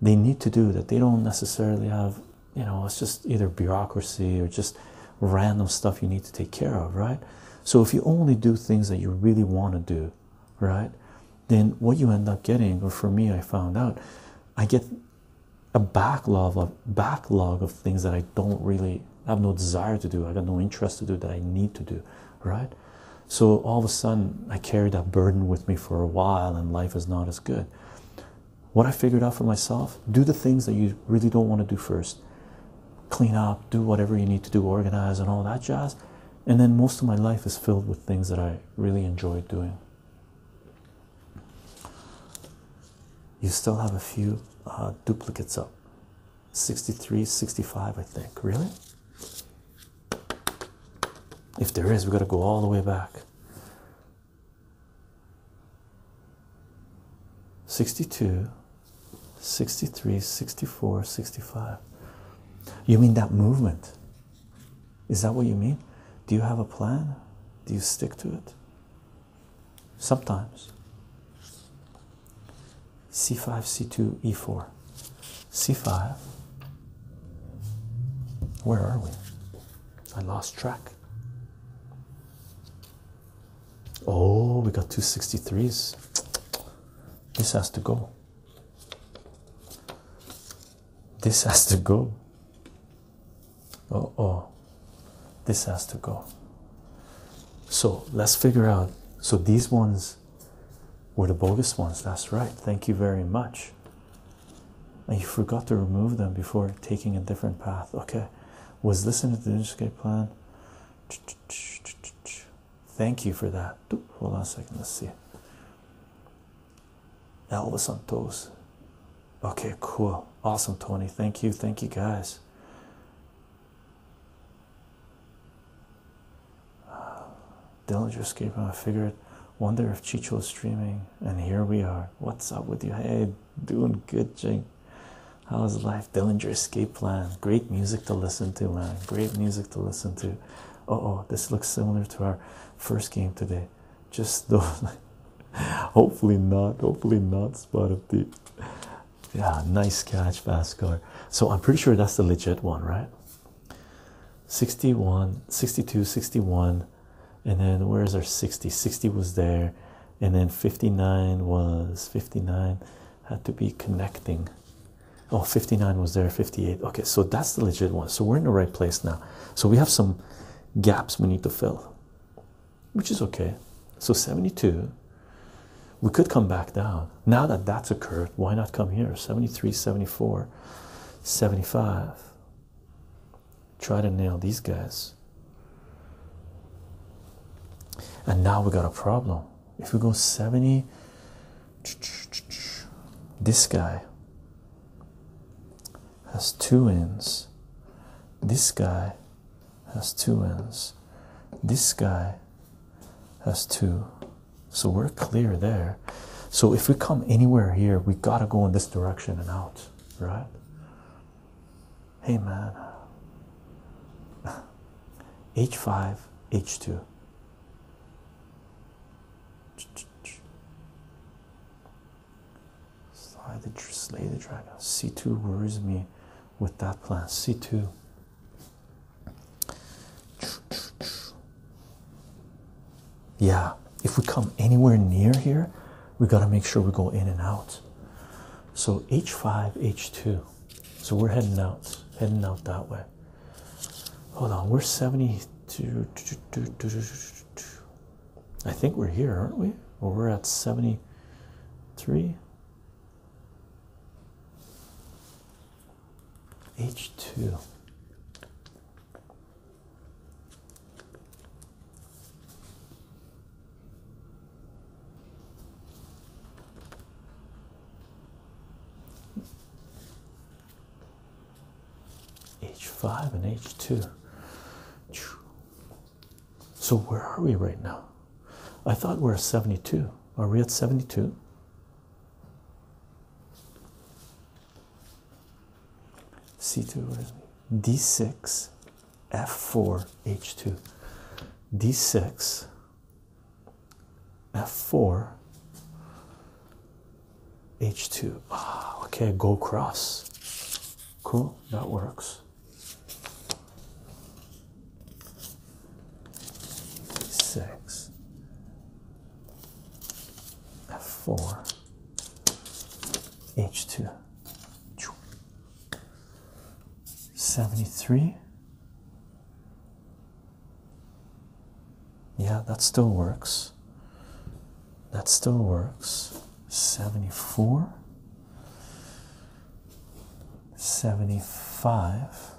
they need to do that they don't necessarily have. You know, it's just either bureaucracy or just random stuff you need to take care of, right? So if you only do things that you really want to do, right, then what you end up getting, or for me, I found out, I get a backlog of backlog of things that I don't really have no desire to do. I got no interest to do that I need to do, right? So all of a sudden, I carry that burden with me for a while, and life is not as good. What I figured out for myself: do the things that you really don't want to do first. Clean up, do whatever you need to do, organize, and all that jazz. And then most of my life is filled with things that I really enjoy doing. You still have a few uh, duplicates up 63, 65, I think. Really? If there is, we got to go all the way back. 62, 63, 64, 65. You mean that movement? Is that what you mean? Do you have a plan? Do you stick to it? sometimes c5 c2 e4 c5 where are we i lost track oh we got 263s this has to go this has to go oh oh this has to go so let's figure out so these ones were the bogus ones that's right thank you very much and you forgot to remove them before taking a different path okay was this in the interscape plan thank you for that hold on a second let's see elvis on Okay, cool. Awesome, Tony. Thank you. Thank you, guys. Uh, Dillinger escaping. I figured, wonder if Chicho is streaming. And here we are. What's up with you? Hey, doing good, Jing. How's life? Dillinger escape plan. Great music to listen to, man. Great music to listen to. Oh, oh, this looks similar to our first game today. Just those. hopefully not. Hopefully not. Spot of the. Yeah, nice catch, Vascar. So I'm pretty sure that's the legit one, right? 61, 62, 61. And then where's our 60? 60 was there. And then 59 was 59. Had to be connecting. Oh, 59 was there, 58. Okay, so that's the legit one. So we're in the right place now. So we have some gaps we need to fill which is okay. So 72, we could come back down. Now that that's occurred, why not come here? 73, 74, 75. Try to nail these guys. And now we got a problem. If we go 70, this guy, has two ends. This guy has two ends. This guy has two. So we're clear there. So if we come anywhere here, we gotta go in this direction and out, right? Hey man. H5, H2. Slide the, slay the dragon. C2 worries me with that plan. C2. Yeah, if we come anywhere near here, we got to make sure we go in and out. So H5, H2. So we're heading out, heading out that way. Hold on, we're 72. I think we're here, aren't we? Well, we're at 73. H2. H5 and H2. So where are we right now? I thought we we're 72. Are we at 72? C2 D6 F4 H2 D6 F4 H2 ah, okay go cross cool that works six, four, H2, 73. Yeah, that still works. That still works. 74. 75.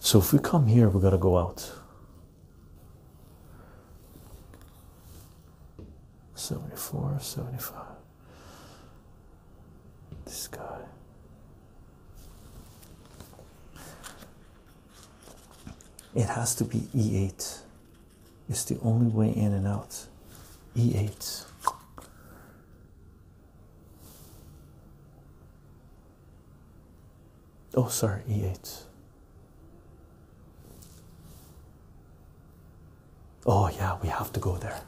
So if we come here, we got to go out. 74, 75. This guy. It has to be E8. It's the only way in and out. E8. Oh, sorry, E8. Oh, yeah, we have to go there.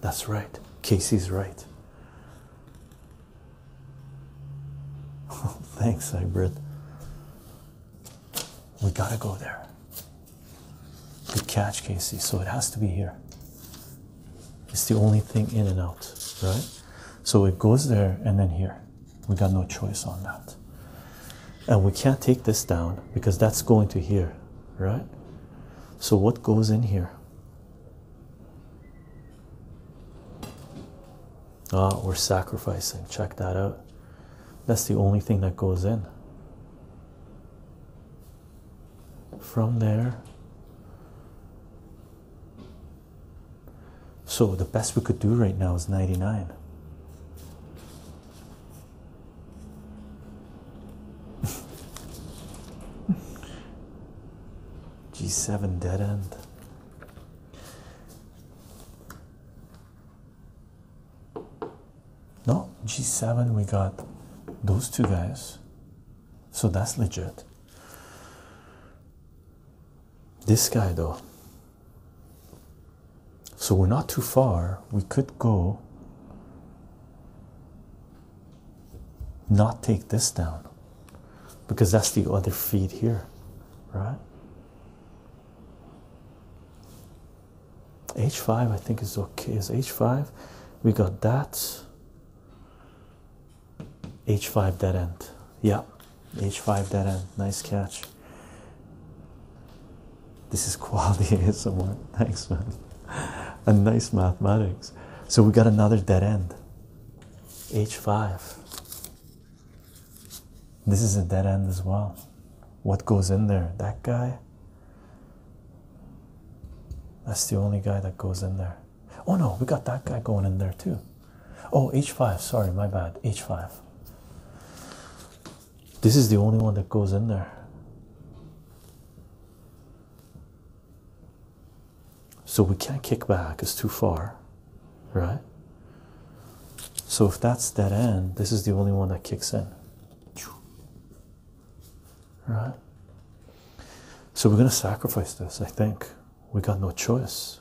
That's right. Casey's right. Thanks, Hybrid. We gotta go there. Good catch, Casey. So it has to be here. It's the only thing in and out, right? So it goes there and then here. We got no choice on that. And we can't take this down because that's going to here, right? So what goes in here? Ah, we're sacrificing. Check that out. That's the only thing that goes in. From there, so the best we could do right now is 99. G7 dead end. No, G7, we got those two guys. So that's legit. This guy, though. So we're not too far. We could go, not take this down because that's the other feed here, right? h5 i think is okay is h5 we got that h5 dead end yeah h5 dead end nice catch this is quality ASMR. Thanks, man. And nice mathematics. So we got another dead end. H5. This is a dead end as well what goes in there. That guy, that's the only guy that goes in there. Oh no, we got that guy going in there too. Oh, H5, sorry, my bad. H5. This is the only one that goes in there. So we can't kick back, it's too far, right? So if that's dead end, this is the only one that kicks in. Right? So we're going to sacrifice this, I think. We got no choice.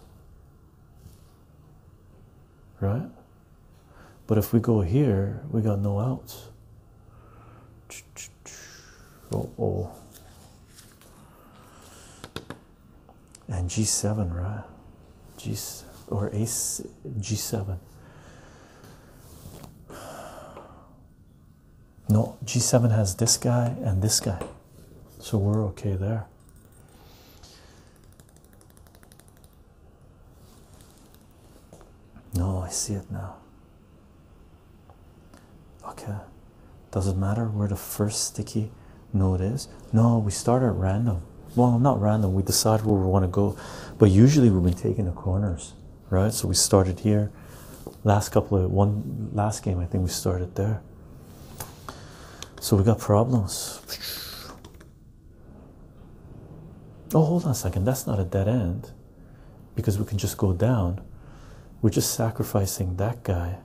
Right? But if we go here, we got no outs. Oh, oh. And G7, right? G or ace G7. No, G7 has this guy and this guy, so we're okay there. No, I see it now. Okay, does it matter where the first sticky note is? No, we start at random random. Well, not random. We decide where we want to go, but usually we've been taking the corners, right? So we started here. Last couple of one last game, I think we started there. So we got problems. Oh, hold on a second. That's not a dead end, because we can just go down. We're just sacrificing that guy.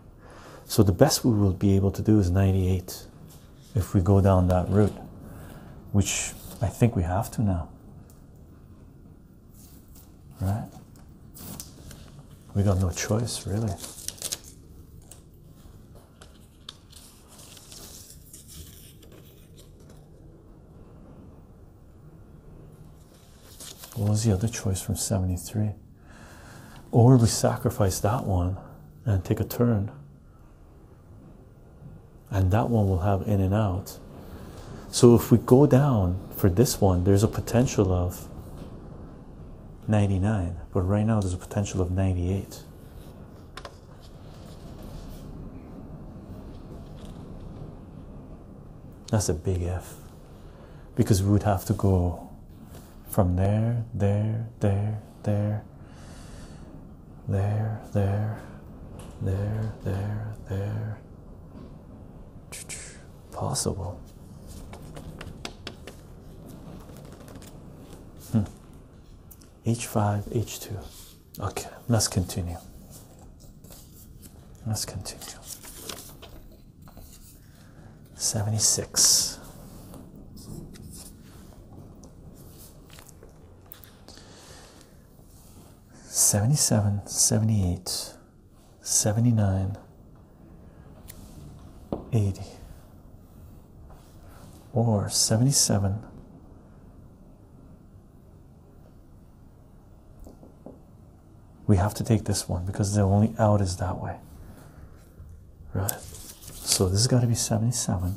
So the best we will be able to do is 98 if we go down that route, which I think we have to now. Right? We got no choice, really. What was the other choice from 73? Or we sacrifice that one and take a turn and that one will have in and out so if we go down for this one there's a potential of 99 but right now there's a potential of 98 that's a big F because we would have to go from there, there, there, there, there, there, there, there, there. Possible. H5, hmm. H2. Okay, let's continue. Let's continue. 76. 77, 78, 79, 80, or 77, we have to take this one because the only out is that way. Right? So this has got to be 77.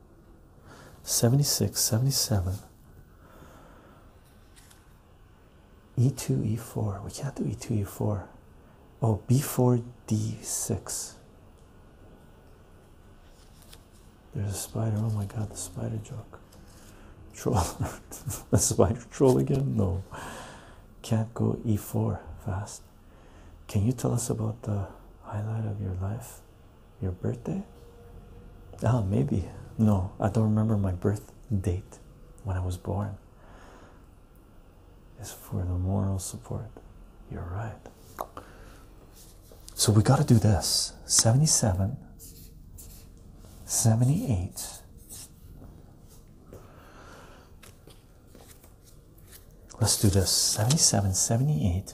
76, 77, E2, E4. We can't do E2, E4. Oh, B4, D6. There's a spider. Oh my god, the spider joke. Troll. the spider troll again? No. Can't go E4 fast. Can you tell us about the highlight of your life? Your birthday? Ah, maybe. No, I don't remember my birth date when I was born. It's for the moral support. You're right. So we got to do this 77, 78. Let's do this 77, 78,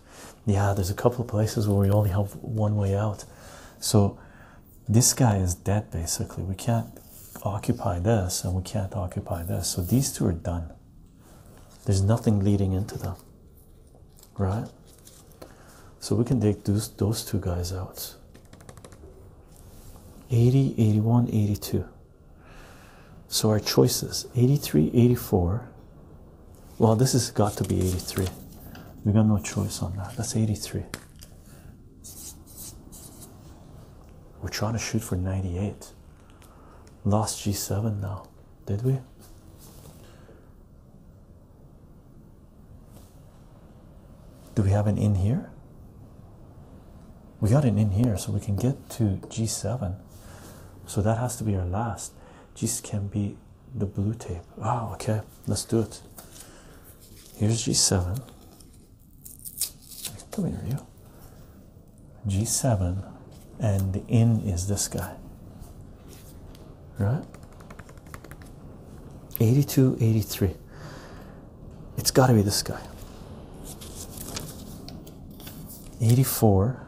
Yeah, there's a couple of places where we only have one way out. So this guy is dead basically. We can't occupy this and we can't occupy this. So these two are done. There's nothing leading into them. Right? So we can take those those two guys out. 80, 81, 82. So our choices 83, 84, well, this has got to be 83. We got no choice on that. That's 83. We're trying to shoot for 98. Lost G7 now, did we? Do we have an in here? We got an in here, so we can get to G7. So that has to be our last. G can be the blue tape. Oh, okay, let's do it. Here's G7. Come here, you. G7, and the N is this guy, right? 82, 83. It's got to be this guy. 84.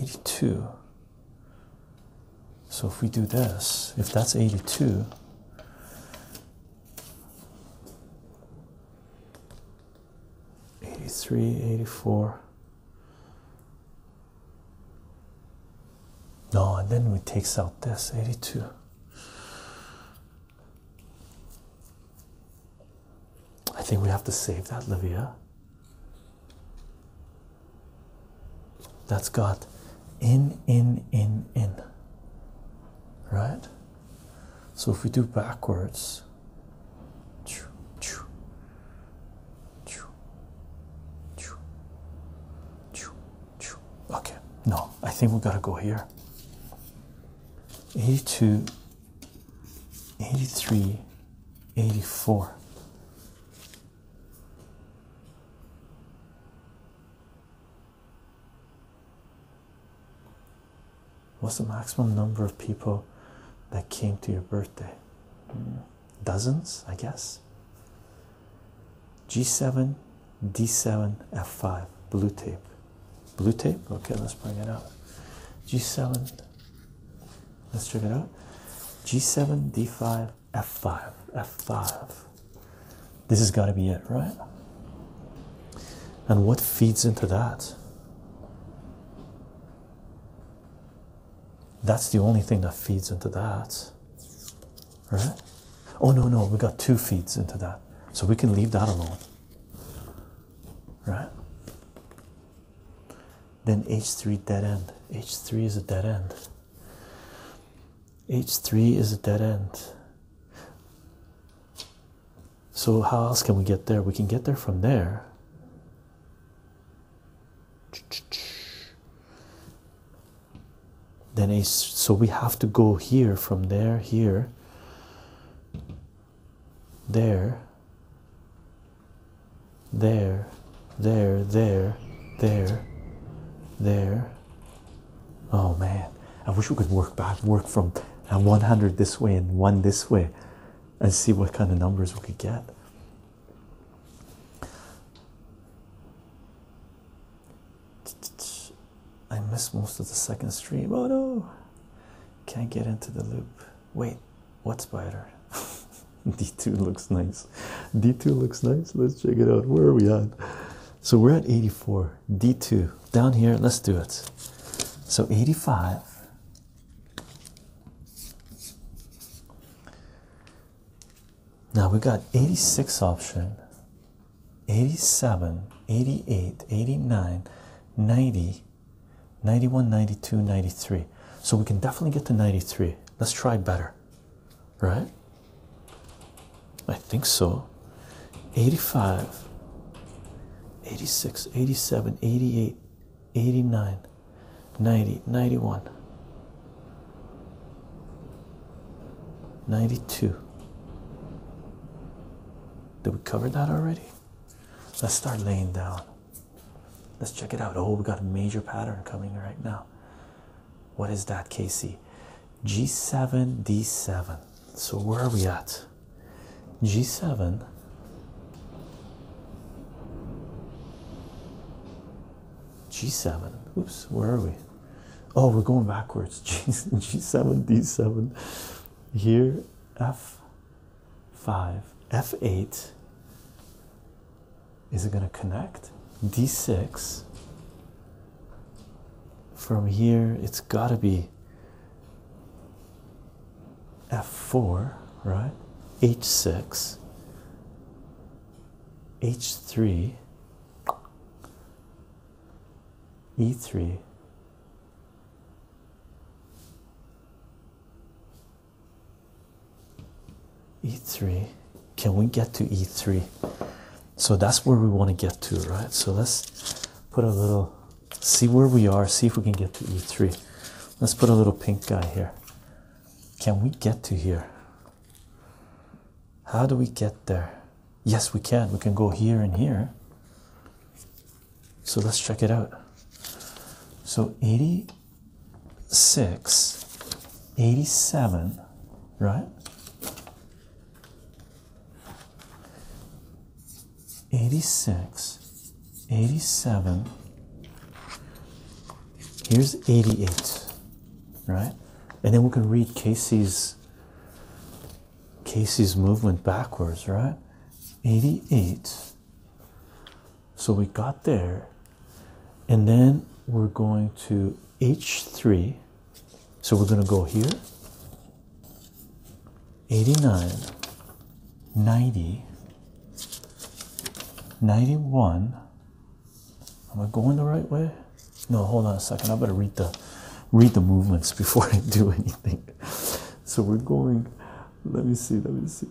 82. So if we do this, if that's 82, 83, 84. No, and then we takes out this eighty-two. I think we have to save that, Livia. That's got in, in, in, in. Right? So if we do backwards, okay, no, I think we gotta go here. E2 83 84 What's the maximum number of people that came to your birthday? Dozens, I guess. G7, D7, F5, blue tape. Blue tape? Okay, let's bring it up. G7, Let's check it out. G7, D5, F5, F5. This has got to be it, right? And what feeds into that? That's the only thing that feeds into that, right? Oh, no, no, we got two feeds into that, so we can leave that alone, right? Then H3 dead end. H3 is a dead end. H3 is a dead end. So, how else can we get there? We can get there from there. Then H, so we have to go here from there, here, there, there, there, there, there, there. Oh man, I wish we could work back, work from 100 this way and one this way, and see what kind of numbers we could get. I miss most of the second stream. Oh no, can't get into the loop. Wait, what spider? D2 looks nice. D2 looks nice. Let's check it out. Where are we at? So we're at 84. D2 down here. Let's do it. So 85. Now we got 86 option, 87, 88, 89, 90, 91, 92, 93. So we can definitely get to 93. Let's try better, right? I think so. 85, 86, 87, 88, 89, 90, 91, 92. Did we cover that already? Let's start laying down. Let's check it out. Oh, we got a major pattern coming right now. What is that, KC? G7, D7. So where are we at? G7. G7. Oops, where are we? Oh, we're going backwards. G7, D7. Here, F5, F8, is it going to connect? D6. From here, it's got to be F4, right? H6, H3, E3. E3. Can we get to E3? So that's where we want to get to, right? So let's put a little, see where we are, see if we can get to E3. Let's put a little pink guy here. Can we get to here? How do we get there? Yes, we can. We can go here and here. So let's check it out. So 80 Six, eighty-seven, right? Eighty-six, eighty-seven. here's 88, right? And then we can read Casey's Casey's movement backwards, right? 88 so we got there and then we're going to h3 so we're going to go here 89 90 91 am i going the right way no hold on a second i better read the read the movements before i do anything so we're going let me see let me see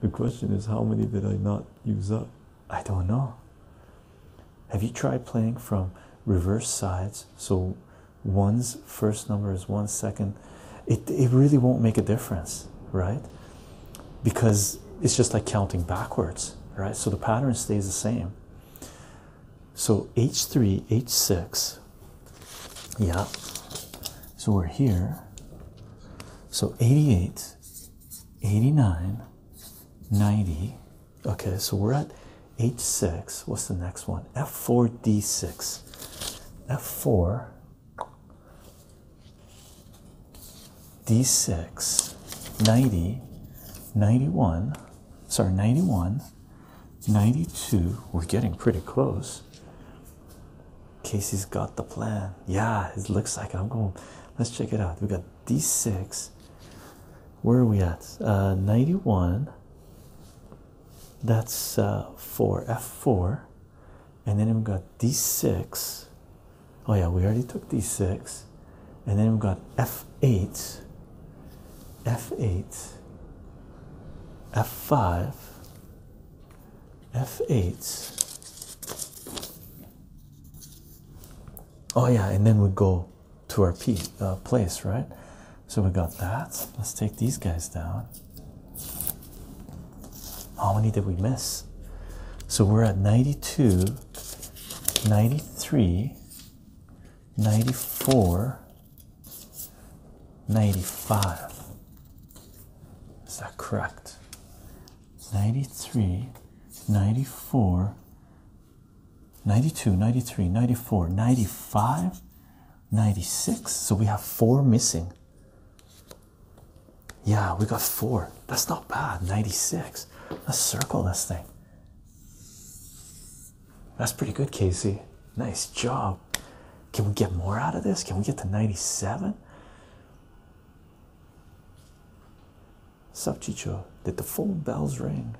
the question is, how many did I not use up? I don't know. Have you tried playing from reverse sides? So one's first number is one second. It, it really won't make a difference, right? Because it's just like counting backwards, right? So the pattern stays the same. So H3, H6, yeah. So we're here. So 88 89 90 okay so we're at H six. what's the next one f4 d6 f4 d6 90 91 sorry 91 92 we're getting pretty close Casey's got the plan. Yeah, it looks like I'm going. Let's check it out. We got D6. Where are we at? Uh, 91. That's uh, 4. F4. And then we've got D6. Oh, yeah, we already took D6. And then we've got F8. F8. F5 f8 oh yeah and then we go to our p uh, place right so we got that let's take these guys down how many did we miss so we're at 92 93 94 95 is that correct 93, 94, 92, 93, 94, 95, 96. So we have four missing. Yeah, we got four. That's not bad. 96. Let's circle this thing. That's pretty good, Casey. Nice job. Can we get more out of this? Can we get to 97? Sup Chicho, did the phone bells ring?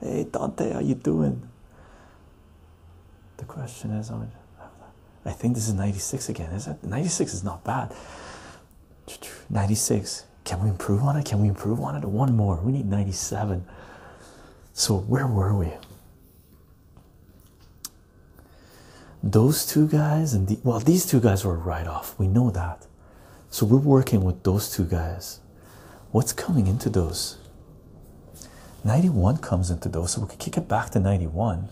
Hey Dante, how you doing? The question is on I think this is 96 again, is it? 96 is not bad. 96. Can we improve on it? Can we improve on it? One more. We need 97. So where were we? Those two guys, and the, well, these two guys were right off. We know that. So we're working with those two guys. What's coming into those? 91 comes into those, so we can kick it back to 91.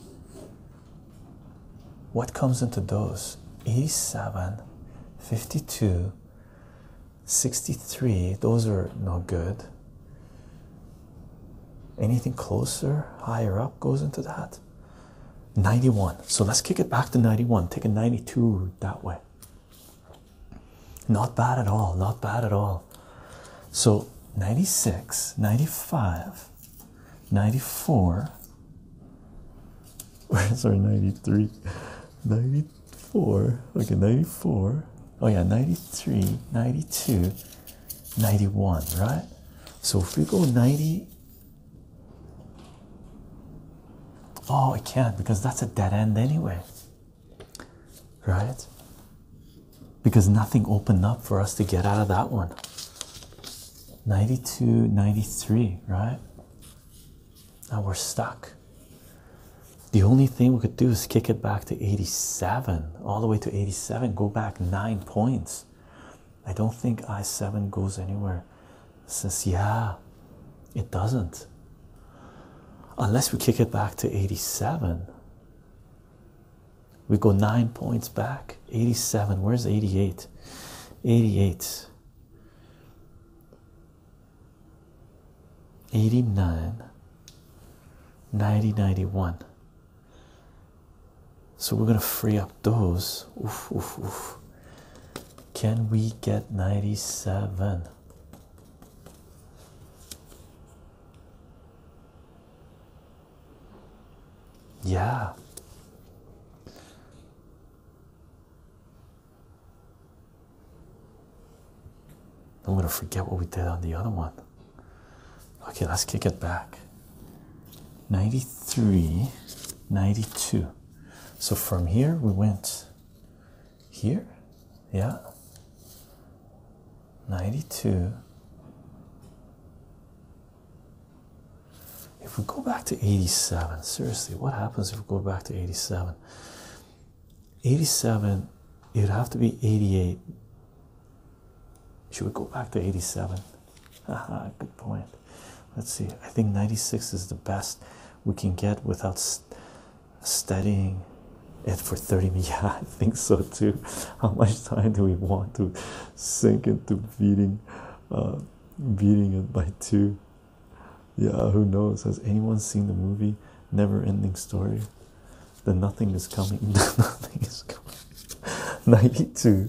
What comes into those? 87, 52, 63. Those are not good. Anything closer, higher up goes into that. 91 so let's kick it back to 91 take a 92 that way not bad at all not bad at all so 96 95 94 where's our 93 94 okay 94 oh yeah 93 92 91 right so if we go 90 Oh, I can't because that's a dead end anyway, right? Because nothing opened up for us to get out of that one. 92, 93, right? Now we're stuck. The only thing we could do is kick it back to 87, all the way to 87, go back nine points. I don't think i7 goes anywhere since, yeah, it doesn't. Unless we kick it back to 87, we go nine points back. 87, where's 88? 88, 89, 90, 91. So we're going to free up those. Oof, oof, oof. Can we get 97? Yeah. I'm going to forget what we did on the other one. Okay, let's kick it back. 93 92 so from here we went here yeah 92 if we go back to 87 seriously what happens if we go back to 87 87 it'd have to be 88 should we go back to 87 good point Let's see. I think 96 is the best we can get without studying it for 30 minutes. Yeah, I think so too. How much time do we want to sink into beating, uh, beating it by two? Yeah, who knows? Has anyone seen the movie Never Ending Story? The Nothing is Coming. Nothing is Coming. 92.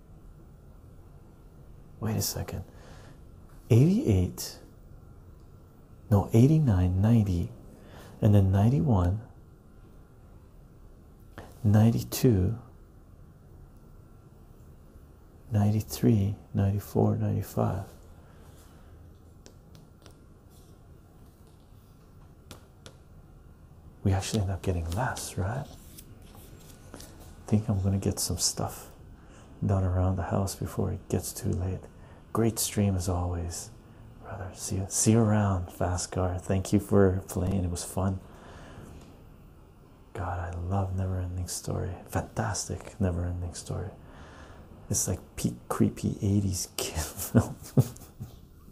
Wait a second. 88, no, 89, 90, and then 91, 92, 93, 94, 95. We actually end up getting less, right? I think I'm going to get some stuff done around the house before it gets too late. Great stream as always, brother. See you, see you around, Fast car. Thank you for playing. It was fun. God, I love Never Ending Story. Fantastic Never Ending Story. It's like peak creepy 80s kid film.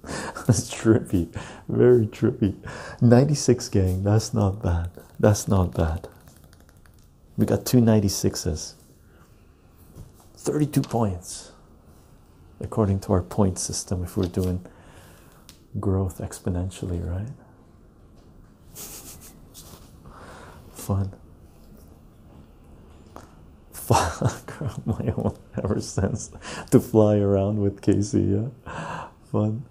that's trippy, very trippy. 96 gang, that's not bad. That's not bad. We got two ninety 32 points, according to our point system, if we're doing growth exponentially, right? Fun. Fuck my own ever since to fly around with Casey, yeah. Fun.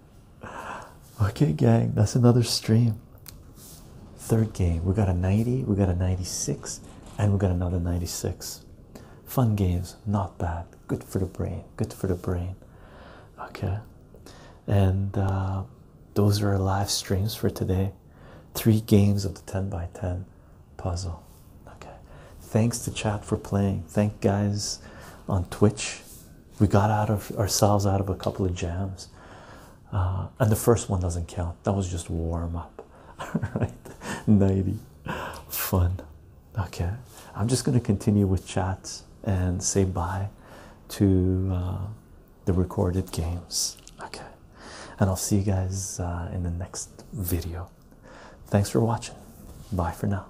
Okay, gang, that's another stream. Third game, we got a 90, we got a 96, and we got another 96. Fun games, not bad. Good for the brain, good for the brain. Okay, and uh, those are our live streams for today. Three games of the 10 by 10 puzzle. Okay, thanks to chat for playing. Thank guys on Twitch we got out of ourselves out of a couple of jams uh, and the first one doesn't count that was just warm up all right 90 fun okay i'm just going to continue with chats and say bye to uh, the recorded games okay and i'll see you guys uh, in the next video thanks for watching bye for now